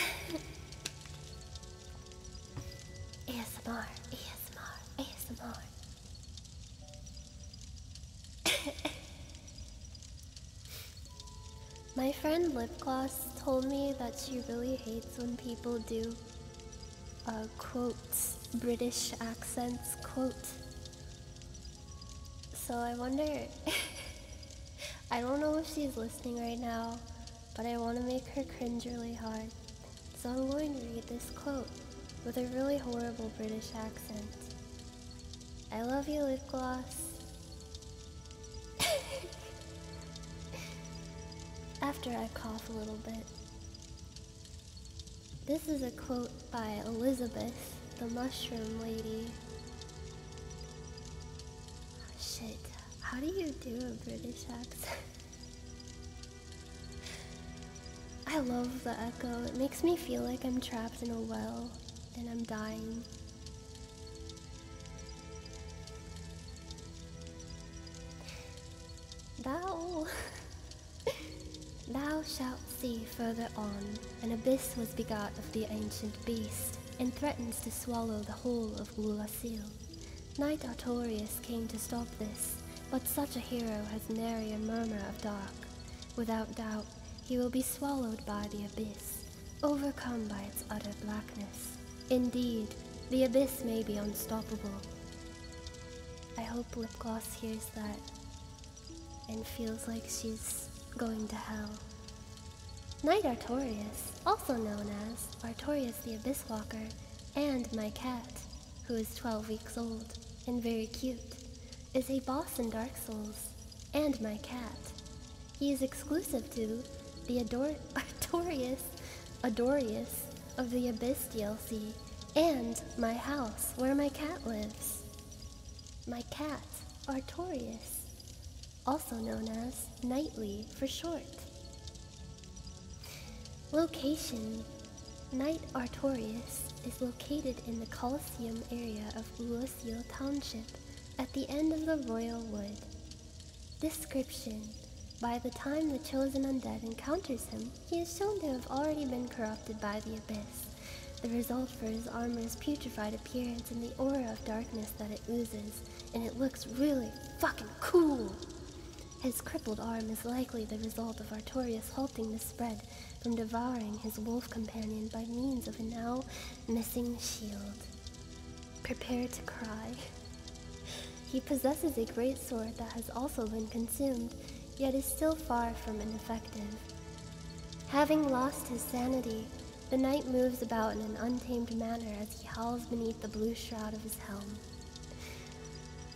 ASMR, ASMR, ASMR. My friend Lip Gloss told me that she really hates when people do uh, quotes, British accents, quote. So I wonder, I don't know if she's listening right now, but I want to make her cringe really hard. So I'm going to read this quote with a really horrible British accent. I love you, lip gloss. After I cough a little bit. This is a quote by Elizabeth, the mushroom lady. shit. How do you do a British accent? I love the echo. It makes me feel like I'm trapped in a well and I'm dying. Thou. Thou shalt see further on, an abyss was begot of the ancient beast, and threatens to swallow the whole of Gulasil. Knight Artorius came to stop this, but such a hero has nary a murmur of dark. Without doubt, he will be swallowed by the abyss, overcome by its utter blackness. Indeed, the abyss may be unstoppable. I hope Lip Gloss hears that and feels like she's going to hell. Knight Artorius, also known as Artorias the Abyss Walker, and my cat, who is 12 weeks old and very cute, is a boss in Dark Souls, and my cat. He is exclusive to the Ador Artorias, Adorius of the Abyss DLC, and my house where my cat lives. My cat, Artorias also known as Nightly for short. Location Night Artorius is located in the Coliseum area of Luosio Township at the end of the Royal Wood. Description By the time the Chosen Undead encounters him, he is shown to have already been corrupted by the Abyss, the result for his armor's putrefied appearance and the aura of darkness that it oozes, and it looks really fucking cool. His crippled arm is likely the result of Artorius halting the spread from devouring his wolf companion by means of a now missing shield. Prepare to cry. He possesses a great sword that has also been consumed, yet is still far from ineffective. Having lost his sanity, the knight moves about in an untamed manner as he howls beneath the blue shroud of his helm.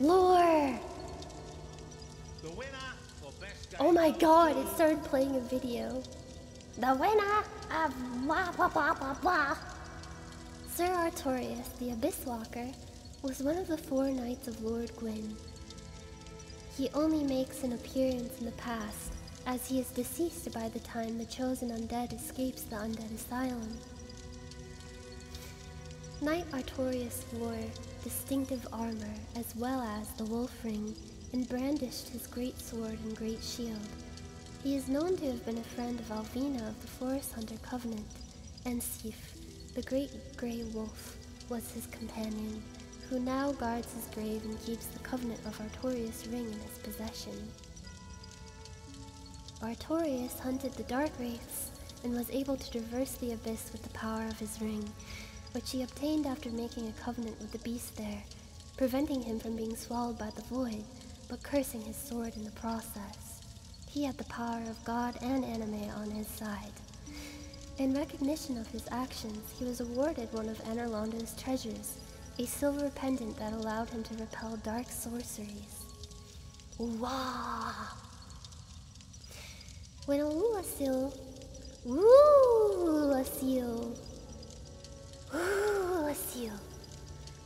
Lore! oh my god, it started playing a video. The winner of blah blah blah blah blah. Sir Artorius, the Abyss Walker, was one of the four knights of Lord Gwyn. He only makes an appearance in the past, as he is deceased by the time the Chosen Undead escapes the Undead Asylum. Knight Artorius wore distinctive armor as well as the wolf ring and brandished his great sword and great shield. He is known to have been a friend of Alvina of the Forest Hunter Covenant, and Sif, the great grey wolf, was his companion, who now guards his grave and keeps the Covenant of Artorius ring in his possession. Artorius hunted the Dark Race and was able to traverse the abyss with the power of his ring, which he obtained after making a covenant with the beast there, preventing him from being swallowed by the void, but cursing his sword in the process. He had the power of God and anime on his side. In recognition of his actions, he was awarded one of Anorlando's treasures, a silver pendant that allowed him to repel dark sorceries. Wow. When a Luasil, Luasil,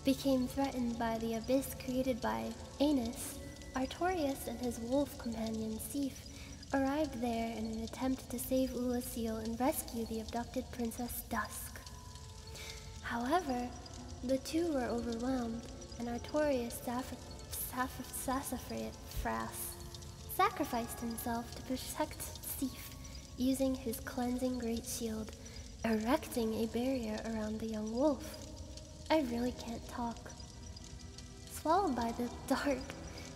became threatened by the abyss created by Anus, Artorius and his wolf companion Sif arrived there in an attempt to save Ulasil and rescue the abducted Princess Dusk. However, the two were overwhelmed, and Artorius Sassafras sacrificed himself to protect Seif using his cleansing great shield, erecting a barrier around the young wolf. I really can't talk. Swallowed by the dark,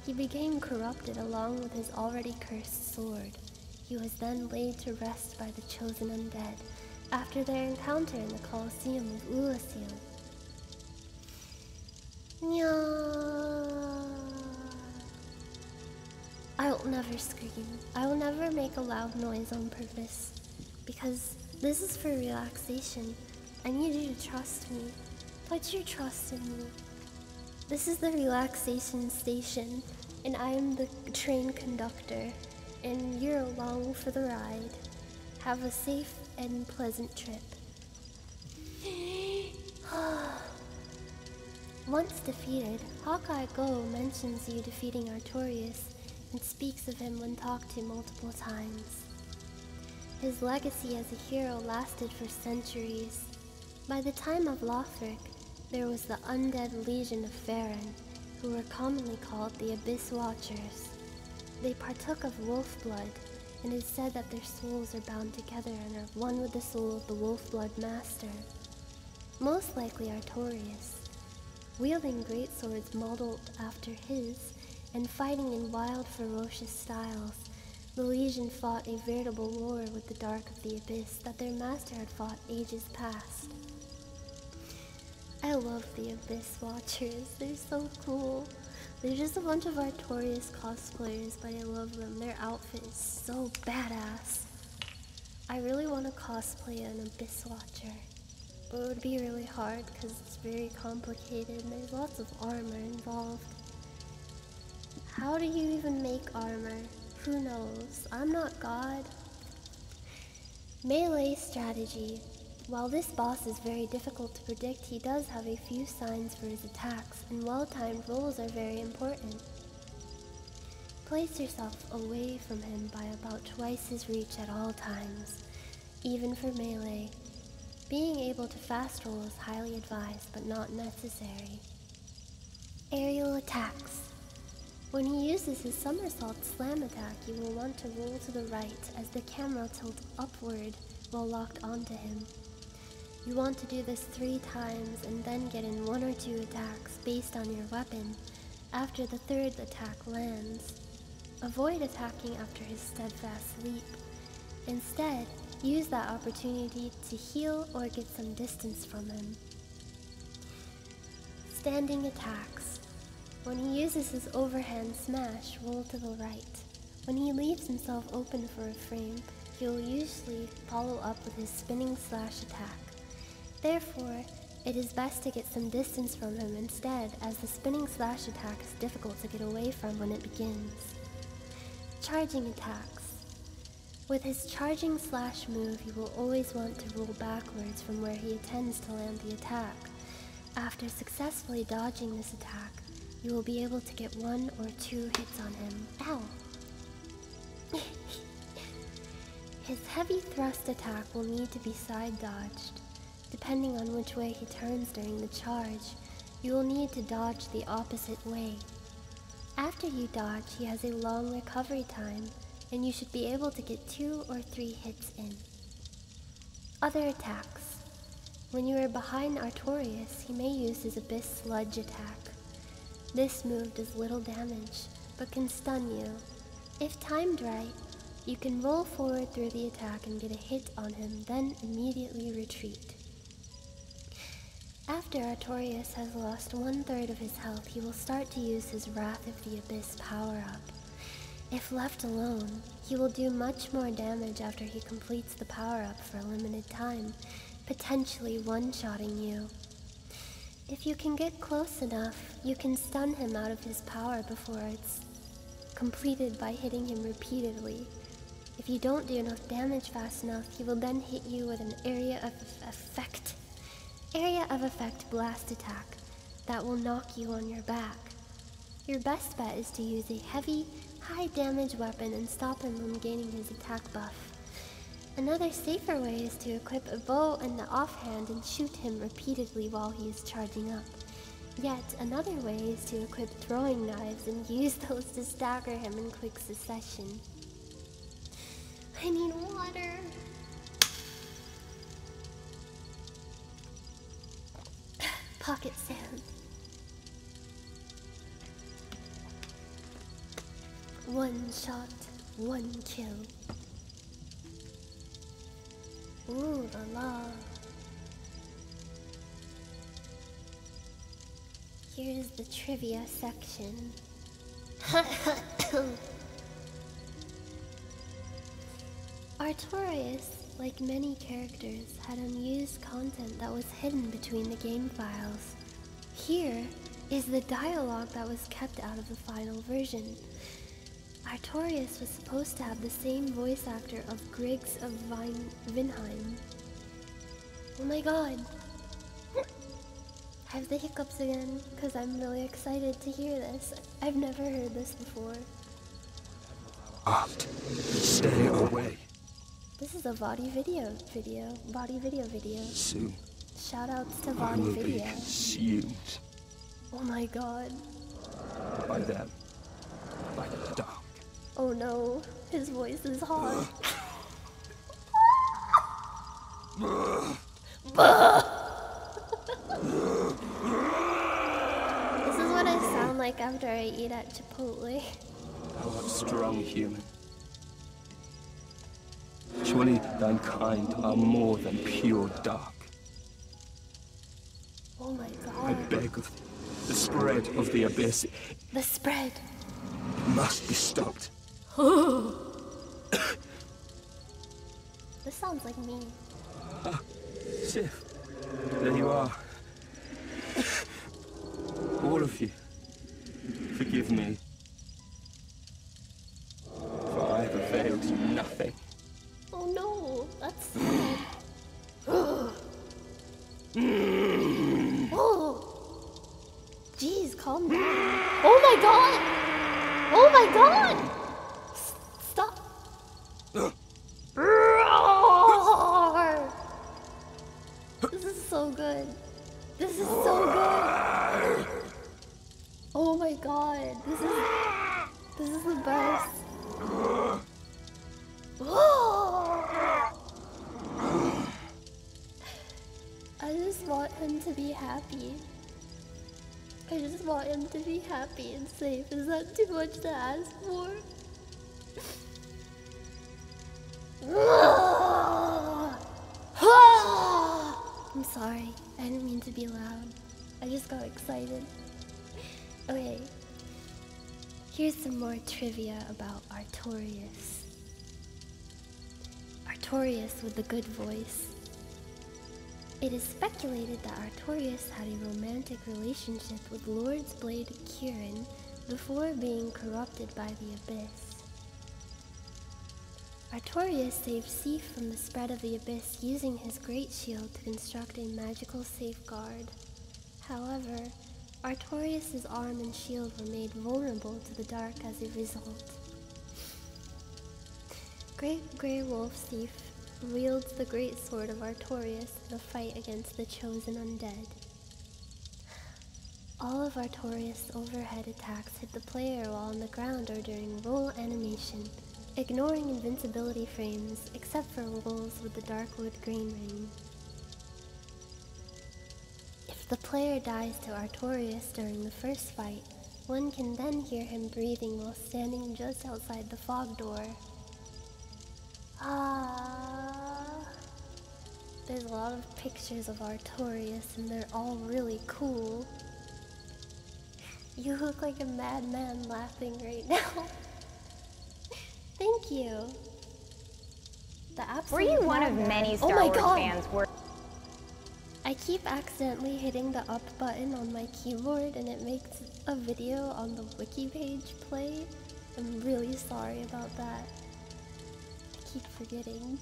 he became corrupted along with his already cursed sword. He was then laid to rest by the chosen undead after their encounter in the Colosseum of Ulysseum. Nya. I will never scream. I will never make a loud noise on purpose. Because this is for relaxation. I need you to trust me. Put your trust in me. This is the relaxation station, and I am the train conductor and you're along for the ride. Have a safe and pleasant trip. Once defeated, Hawkeye Go mentions you defeating Artorias and speaks of him when talked to multiple times. His legacy as a hero lasted for centuries. By the time of Lothric, there was the undead legion of Farron, who were commonly called the Abyss Watchers. They partook of wolf blood, and it is said that their souls are bound together and are one with the soul of the wolf blood master. Most likely Artorius, wielding great swords modeled after his, and fighting in wild, ferocious styles, the Legion fought a veritable war with the Dark of the Abyss that their master had fought ages past. I love the Abyss Watchers. They're so cool. They're just a bunch of Artorias cosplayers, but I love them. Their outfits is so badass. I really want to cosplay an Abyss Watcher. but It would be really hard because it's very complicated there's lots of armor involved. How do you even make armor? Who knows? I'm not God. Melee strategy. While this boss is very difficult to predict, he does have a few signs for his attacks, and well-timed rolls are very important. Place yourself away from him by about twice his reach at all times, even for melee. Being able to fast roll is highly advised, but not necessary. Aerial attacks. When he uses his somersault slam attack, you will want to roll to the right as the camera tilts upward while locked onto him. You want to do this three times and then get in one or two attacks based on your weapon after the third attack lands. Avoid attacking after his steadfast leap. Instead, use that opportunity to heal or get some distance from him. Standing attacks. When he uses his overhand smash, roll to the right. When he leaves himself open for a frame, he will usually follow up with his spinning slash attack. Therefore, it is best to get some distance from him instead, as the spinning slash attack is difficult to get away from when it begins. Charging attacks. With his charging slash move, you will always want to roll back from where he intends to land the attack. After successfully dodging this attack, you will be able to get one or two hits on him. Ow! His heavy thrust attack will need to be side dodged. Depending on which way he turns during the charge, you will need to dodge the opposite way. After you dodge, he has a long recovery time, and you should be able to get two or three hits in. Other attacks. When you are behind Artorius, he may use his Abyss Sludge attack. This move does little damage, but can stun you. If timed right, you can roll forward through the attack and get a hit on him, then immediately retreat. After Artorius has lost one third of his health, he will start to use his Wrath of the Abyss power up. If left alone, he will do much more damage after he completes the power-up for a limited time, potentially one shooting you. If you can get close enough, you can stun him out of his power before it's completed by hitting him repeatedly. If you don't do enough damage fast enough, he will then hit you with an area of effect Area of effect blast attack that will knock you on your back. Your best bet is to use a heavy, high damage weapon and stop him from gaining his attack buff. Another safer way is to equip a bow in the offhand and shoot him repeatedly while he is charging up. Yet another way is to equip throwing knives and use those to stagger him in quick succession. I need water. Pocket sound. One shot, one kill. Ooh la la. Here's the trivia section. Artorias, like many characters, had unused content that was hidden between the game files. Here is the dialogue that was kept out of the final version. Artorias was supposed to have the same voice actor of Griggs of Vine Vinheim. Oh my god! I have the hiccups again, because I'm really excited to hear this. I've never heard this before. Opt. Stay away. This is a body video video. body video video. Soon. Shoutouts to Vadi I video. Consumed. Oh my god. By them. By the dog. Oh no. His voice is harsh. this is what I sound like after I eat at Chipotle. I want strong human. Surely kind are more than pure dark. Oh my god. I beg of thee. The spread of the abyss. The spread. Must be stopped. This sounds like me. Ah, Sif. There you are. All of you. Forgive me. For I have availed you nothing. Oh no, that's sad. oh! Jeez, calm down. Oh my god! Oh my god! Stop. This is so good. This is so good. Oh my god. This is this is the best. I just want him to be happy. I just want him to be happy and safe. Is that too much to ask for? I'm sorry. I didn't mean to be loud. I just got excited. Okay. Here's some more trivia about Artorius. Artorius with the good voice it is speculated that Artorius had a romantic relationship with Lord's Blade Kieran before being corrupted by the Abyss. Artorius saved Seif from the spread of the Abyss using his Great Shield to construct a magical safeguard. However, Artorius's arm and shield were made vulnerable to the dark as a result. Great Grey Wolf Thief wields the great sword of Artorius in a fight against the chosen undead. All of Artorius' overhead attacks hit the player while on the ground or during roll animation, ignoring invincibility frames except for rolls with the Darkwood Green Ring. If the player dies to Artorius during the first fight, one can then hear him breathing while standing just outside the fog door. Ah. There's a lot of pictures of Artorius, and they're all really cool. You look like a madman laughing right now. Thank you. Were you one of many oh Star oh Wars God. fans? Were I keep accidentally hitting the up button on my keyboard, and it makes a video on the wiki page play. I'm really sorry about that. I keep forgetting.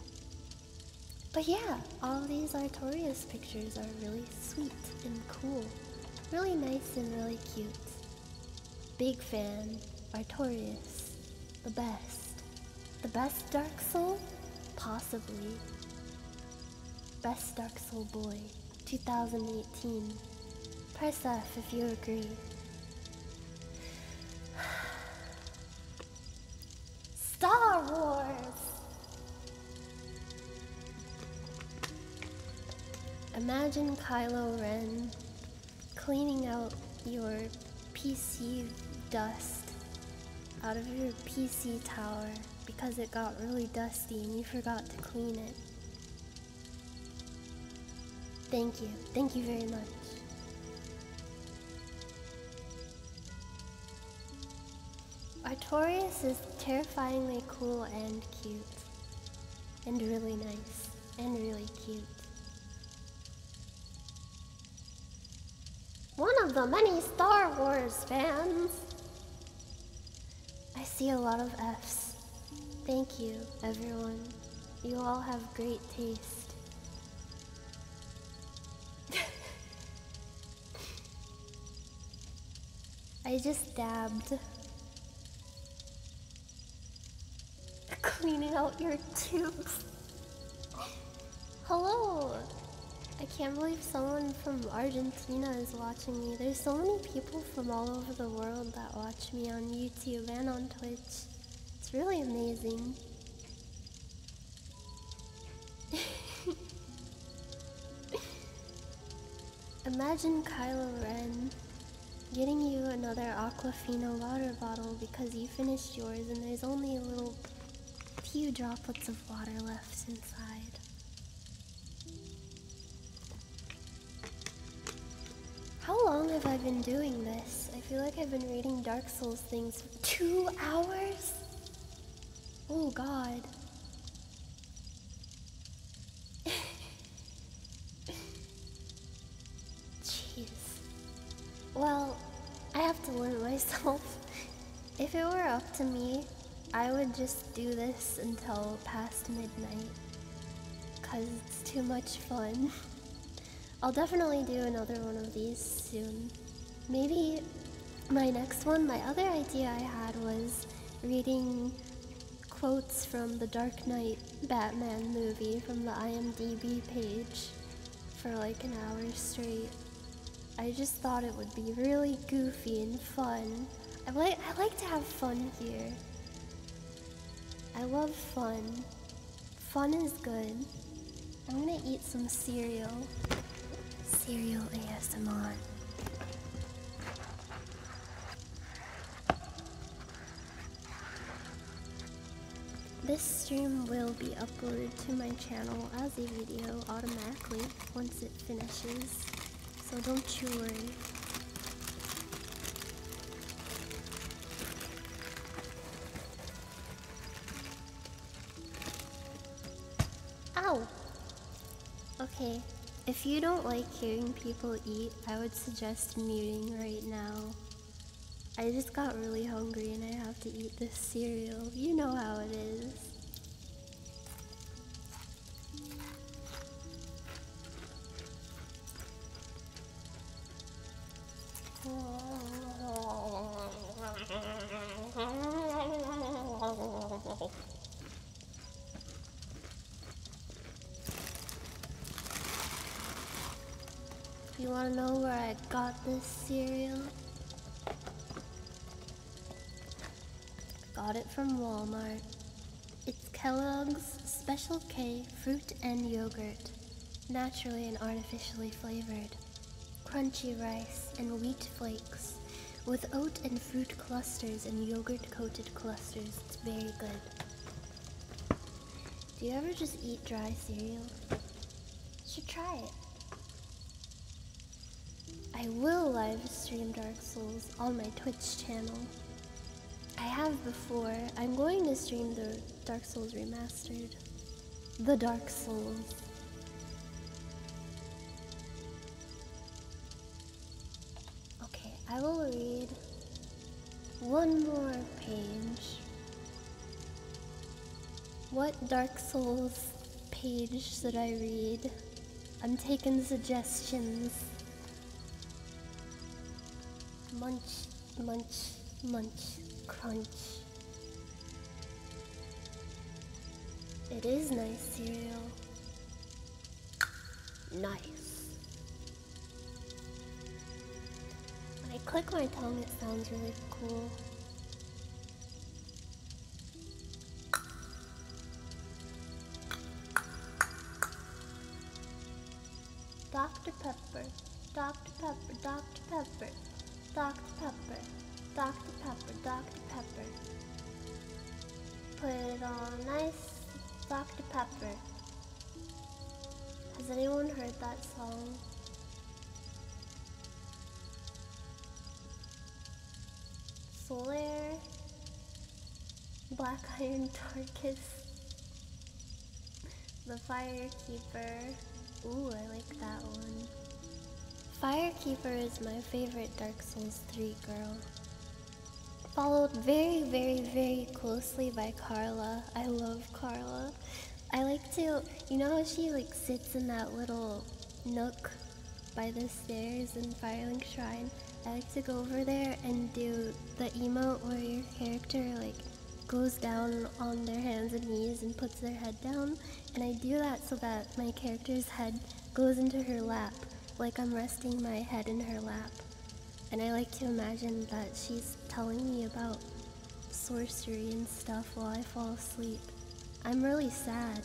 But yeah, all these Artorias pictures are really sweet and cool. Really nice and really cute. Big fan, Artorias. The best. The best Dark Soul? Possibly. Best Dark Soul boy. 2018. Press F if you agree. Star Wars! Imagine Kylo Ren cleaning out your PC dust out of your PC tower because it got really dusty and you forgot to clean it. Thank you. Thank you very much. Artorias is terrifyingly cool and cute. And really nice. And really cute. One of the many Star Wars fans! I see a lot of F's. Thank you, everyone. You all have great taste. I just dabbed. Cleaning out your tubes. Hello! I can't believe someone from Argentina is watching me. There's so many people from all over the world that watch me on YouTube and on Twitch. It's really amazing. Imagine Kylo Ren getting you another Aquafina water bottle because you finished yours and there's only a little few droplets of water left inside. How long have I been doing this? I feel like I've been reading Dark Souls things for two hours? Oh god. Jeez. Well, I have to learn myself. if it were up to me, I would just do this until past midnight. Cause it's too much fun. I'll definitely do another one of these soon. Maybe my next one, my other idea I had was reading quotes from the Dark Knight Batman movie from the IMDb page for like an hour straight. I just thought it would be really goofy and fun. I like I like to have fun here. I love fun. Fun is good. I'm gonna eat some cereal. Cereal ASMR. This stream will be uploaded to my channel as a video automatically once it finishes so don't you worry. Ow! Okay, if you don't like hearing people eat, I would suggest muting right now. I just got really hungry and I have to eat this cereal. You know how it is. You wanna know where I got this cereal? Got it from Walmart. It's Kellogg's Special K fruit and yogurt. Naturally and artificially flavored. Crunchy rice and wheat flakes. With oat and fruit clusters and yogurt coated clusters. It's very good. Do you ever just eat dry cereal? You should try it. I will live stream Dark Souls on my Twitch channel. I have before. I'm going to stream the Dark Souls Remastered. The Dark Souls. Okay, I will read one more page. What Dark Souls page should I read? I'm taking suggestions. Munch, munch, munch, crunch. It is nice cereal. Nice. When I click my tongue, it sounds really cool. Dr. Pepper, Dr. Pepper, Dr. Pepper, Dr. Pepper, Dr. Pepper, Dr. Pepper. Put it on ice, Dr. Pepper. Has anyone heard that song? Solar Black Iron Tarkus, the Firekeeper. Ooh, I like that one. Firekeeper is my favorite Dark Souls 3 girl. Followed very, very, very closely by Carla. I love Carla. I like to, you know how she like sits in that little nook by the stairs and Firelink Shrine. I like to go over there and do the emote where your character like goes down on their hands and knees and puts their head down. And I do that so that my character's head goes into her lap, like I'm resting my head in her lap. And I like to imagine that she's telling me about sorcery and stuff while I fall asleep. I'm really sad.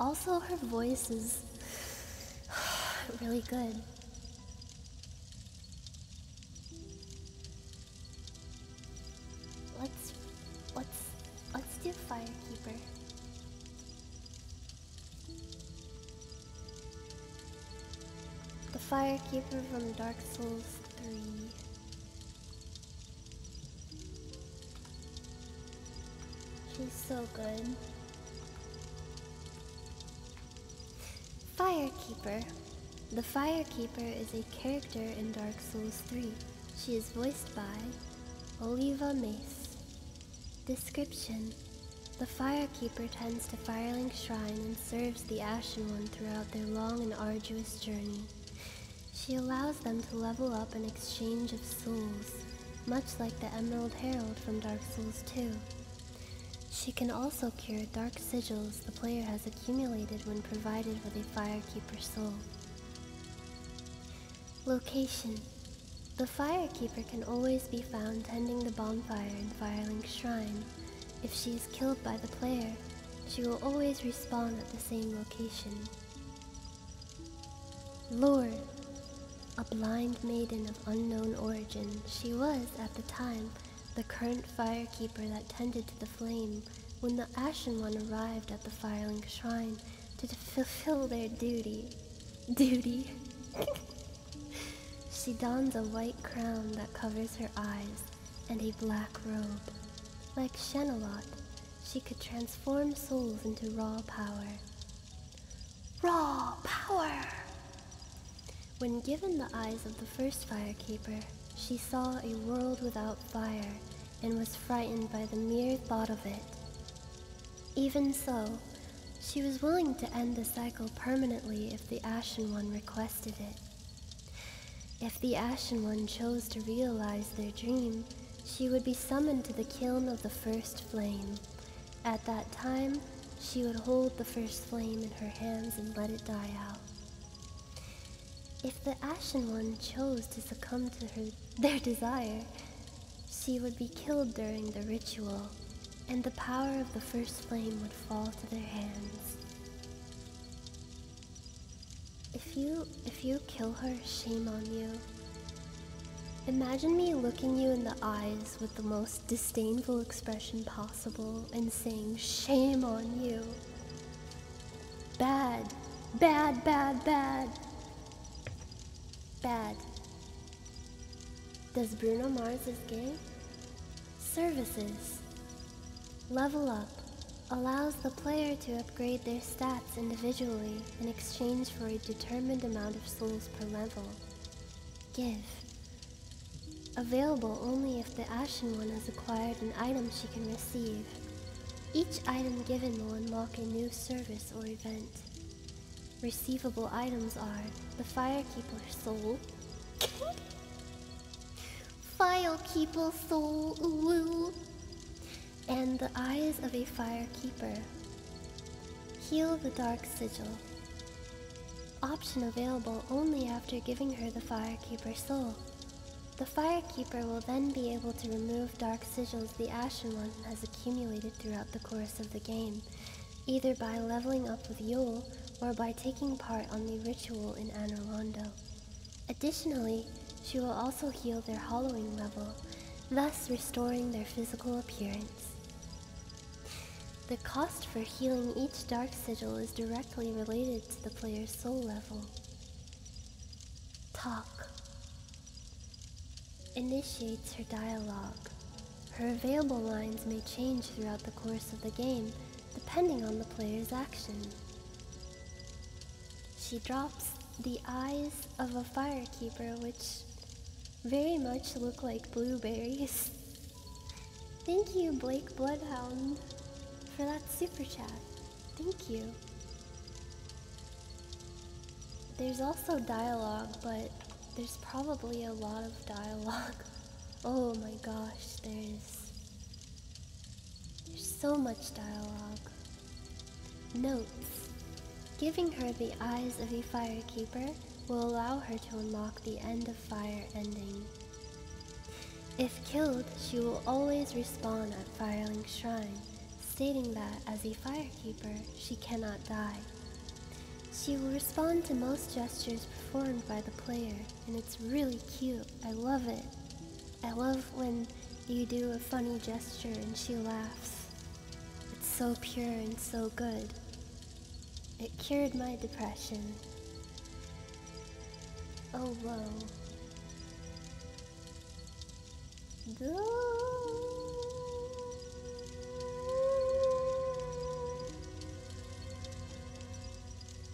Also, her voice is really good. Let's let's let's do Firekeeper. The Firekeeper from Dark Souls 3. She's so good. Firekeeper. The Firekeeper is a character in Dark Souls 3. She is voiced by Oliva Mace. Description The Firekeeper tends to Firelink Shrine and serves the Ashen One throughout their long and arduous journey. She allows them to level up and exchange of souls, much like the Emerald Herald from Dark Souls 2. She can also cure dark sigils the player has accumulated when provided with a Firekeeper soul. Location The Firekeeper can always be found tending the bonfire in Firelink Shrine. If she is killed by the player, she will always respawn at the same location. Lord, a blind maiden of unknown origin, she was, at the time, the current firekeeper that tended to the flame when the Ashen One arrived at the Firelink Shrine to fulfill their duty. Duty. she dons a white crown that covers her eyes and a black robe. Like Shenolot, she could transform souls into raw power. Raw power! When given the eyes of the first firekeeper, she saw a world without fire and was frightened by the mere thought of it. Even so, she was willing to end the cycle permanently if the Ashen One requested it. If the Ashen One chose to realize their dream, she would be summoned to the kiln of the First Flame, at that time, she would hold the first flame in her hands and let it die out. If the Ashen One chose to succumb to her, their desire, she would be killed during the ritual, and the power of the first flame would fall to their hands. If you if you kill her, shame on you. Imagine me looking you in the eyes with the most disdainful expression possible and saying, Shame on you. Bad, bad, bad, bad. Bad. Does Bruno Mars is gay? Services. Level Up allows the player to upgrade their stats individually in exchange for a determined amount of souls per level. Give. Available only if the Ashen One has acquired an item she can receive. Each item given will unlock a new service or event. Receivable items are the Firekeeper Soul, Firekeeper Soul, and the Eyes of a Firekeeper. Heal the Dark Sigil. Option available only after giving her the Firekeeper Soul. The Firekeeper will then be able to remove Dark Sigils the Ashen One has accumulated throughout the course of the game, either by leveling up with Yule or by taking part on the ritual in Anorlando. Additionally, she will also heal their hollowing level, thus restoring their physical appearance. The cost for healing each Dark Sigil is directly related to the player's soul level. Talk initiates her dialogue. Her available lines may change throughout the course of the game, depending on the player's action. She drops the eyes of a firekeeper, which very much look like blueberries. Thank you, Blake Bloodhound, for that super chat. Thank you. There's also dialogue, but there's probably a lot of dialogue. Oh my gosh, there's. There's so much dialogue. Notes. Giving her the eyes of a firekeeper will allow her to unlock the End of Fire ending. If killed, she will always respawn at Fireling's shrine, stating that as a firekeeper, she cannot die. She will respond to most gestures performed by the player, and it's really cute. I love it. I love when you do a funny gesture and she laughs. It's so pure and so good. It cured my depression. Oh, whoa.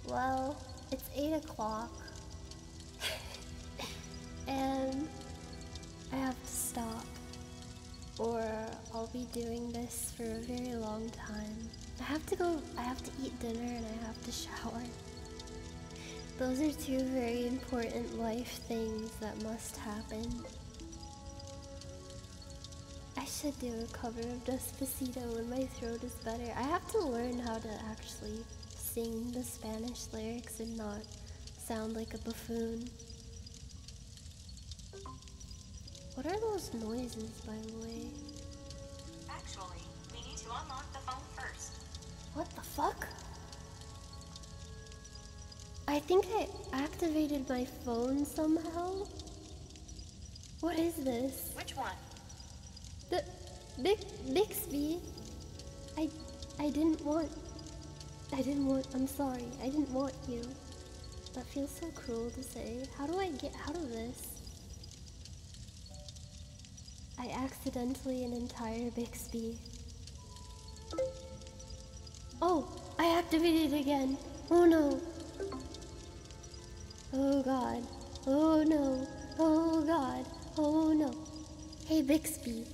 Well, it's 8 o'clock. and I have to stop or I'll be doing this for a very long time. I have to go, I have to eat dinner and I have to shower. Those are two very important life things that must happen. I should do a cover of Despacito when my throat is better. I have to learn how to actually sing the Spanish lyrics and not sound like a buffoon. What are those noises, by the way? Actually, we need to unlock the phone first. What the fuck? I think I activated my phone somehow. What is this? Which one? The Bixby. I I didn't want I didn't want I'm sorry. I didn't want you. That feels so cruel to say. How do I get out of this? I accidentally an entire Bixby. Oh! I activated it again! Oh no! Oh god. Oh no. Oh god. Oh no. Hey Bixby.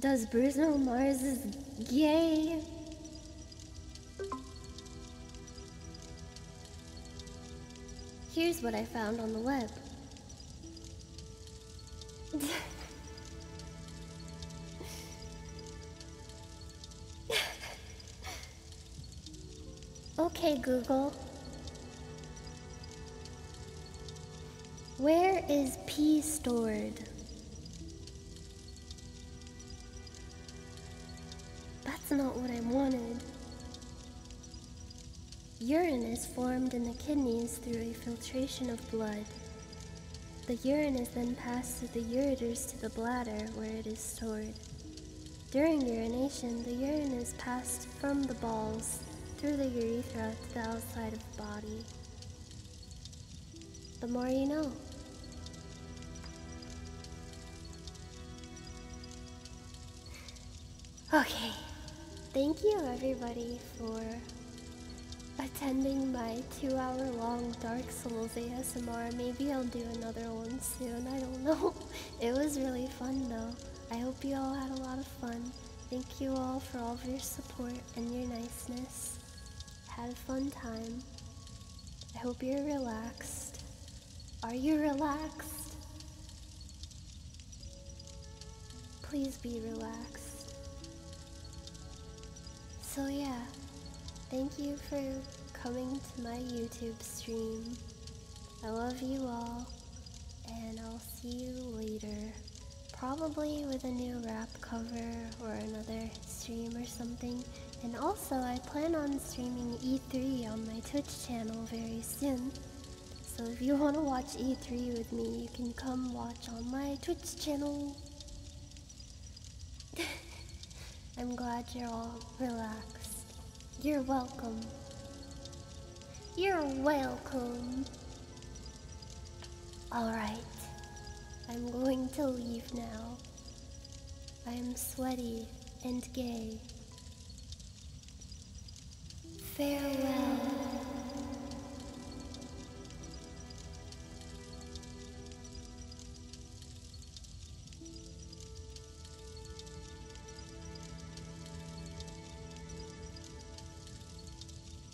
Does Bruce Mars is gay? Here's what I found on the web. okay, Google. Where is pee stored? That's not what I wanted. Urine is formed in the kidneys through a filtration of blood. The urine is then passed through the ureters to the bladder where it is stored. During urination, the urine is passed from the balls through the urethra to the outside of the body. The more you know. Okay, thank you everybody for attending my two hour long Dark Souls ASMR. Maybe I'll do another one soon, I don't know. It was really fun though. I hope you all had a lot of fun. Thank you all for all of your support and your niceness. Have a fun time. I hope you're relaxed. Are you relaxed? Please be relaxed. So, yeah, thank you for coming to my YouTube stream. I love you all, and I'll see you later probably with a new rap cover or another stream or something. And also, I plan on streaming E3 on my Twitch channel very soon. So if you want to watch E3 with me, you can come watch on my Twitch channel. I'm glad you're all relaxed. You're welcome. You're welcome. Alright, I'm going to leave now. I am sweaty and gay. Farewell.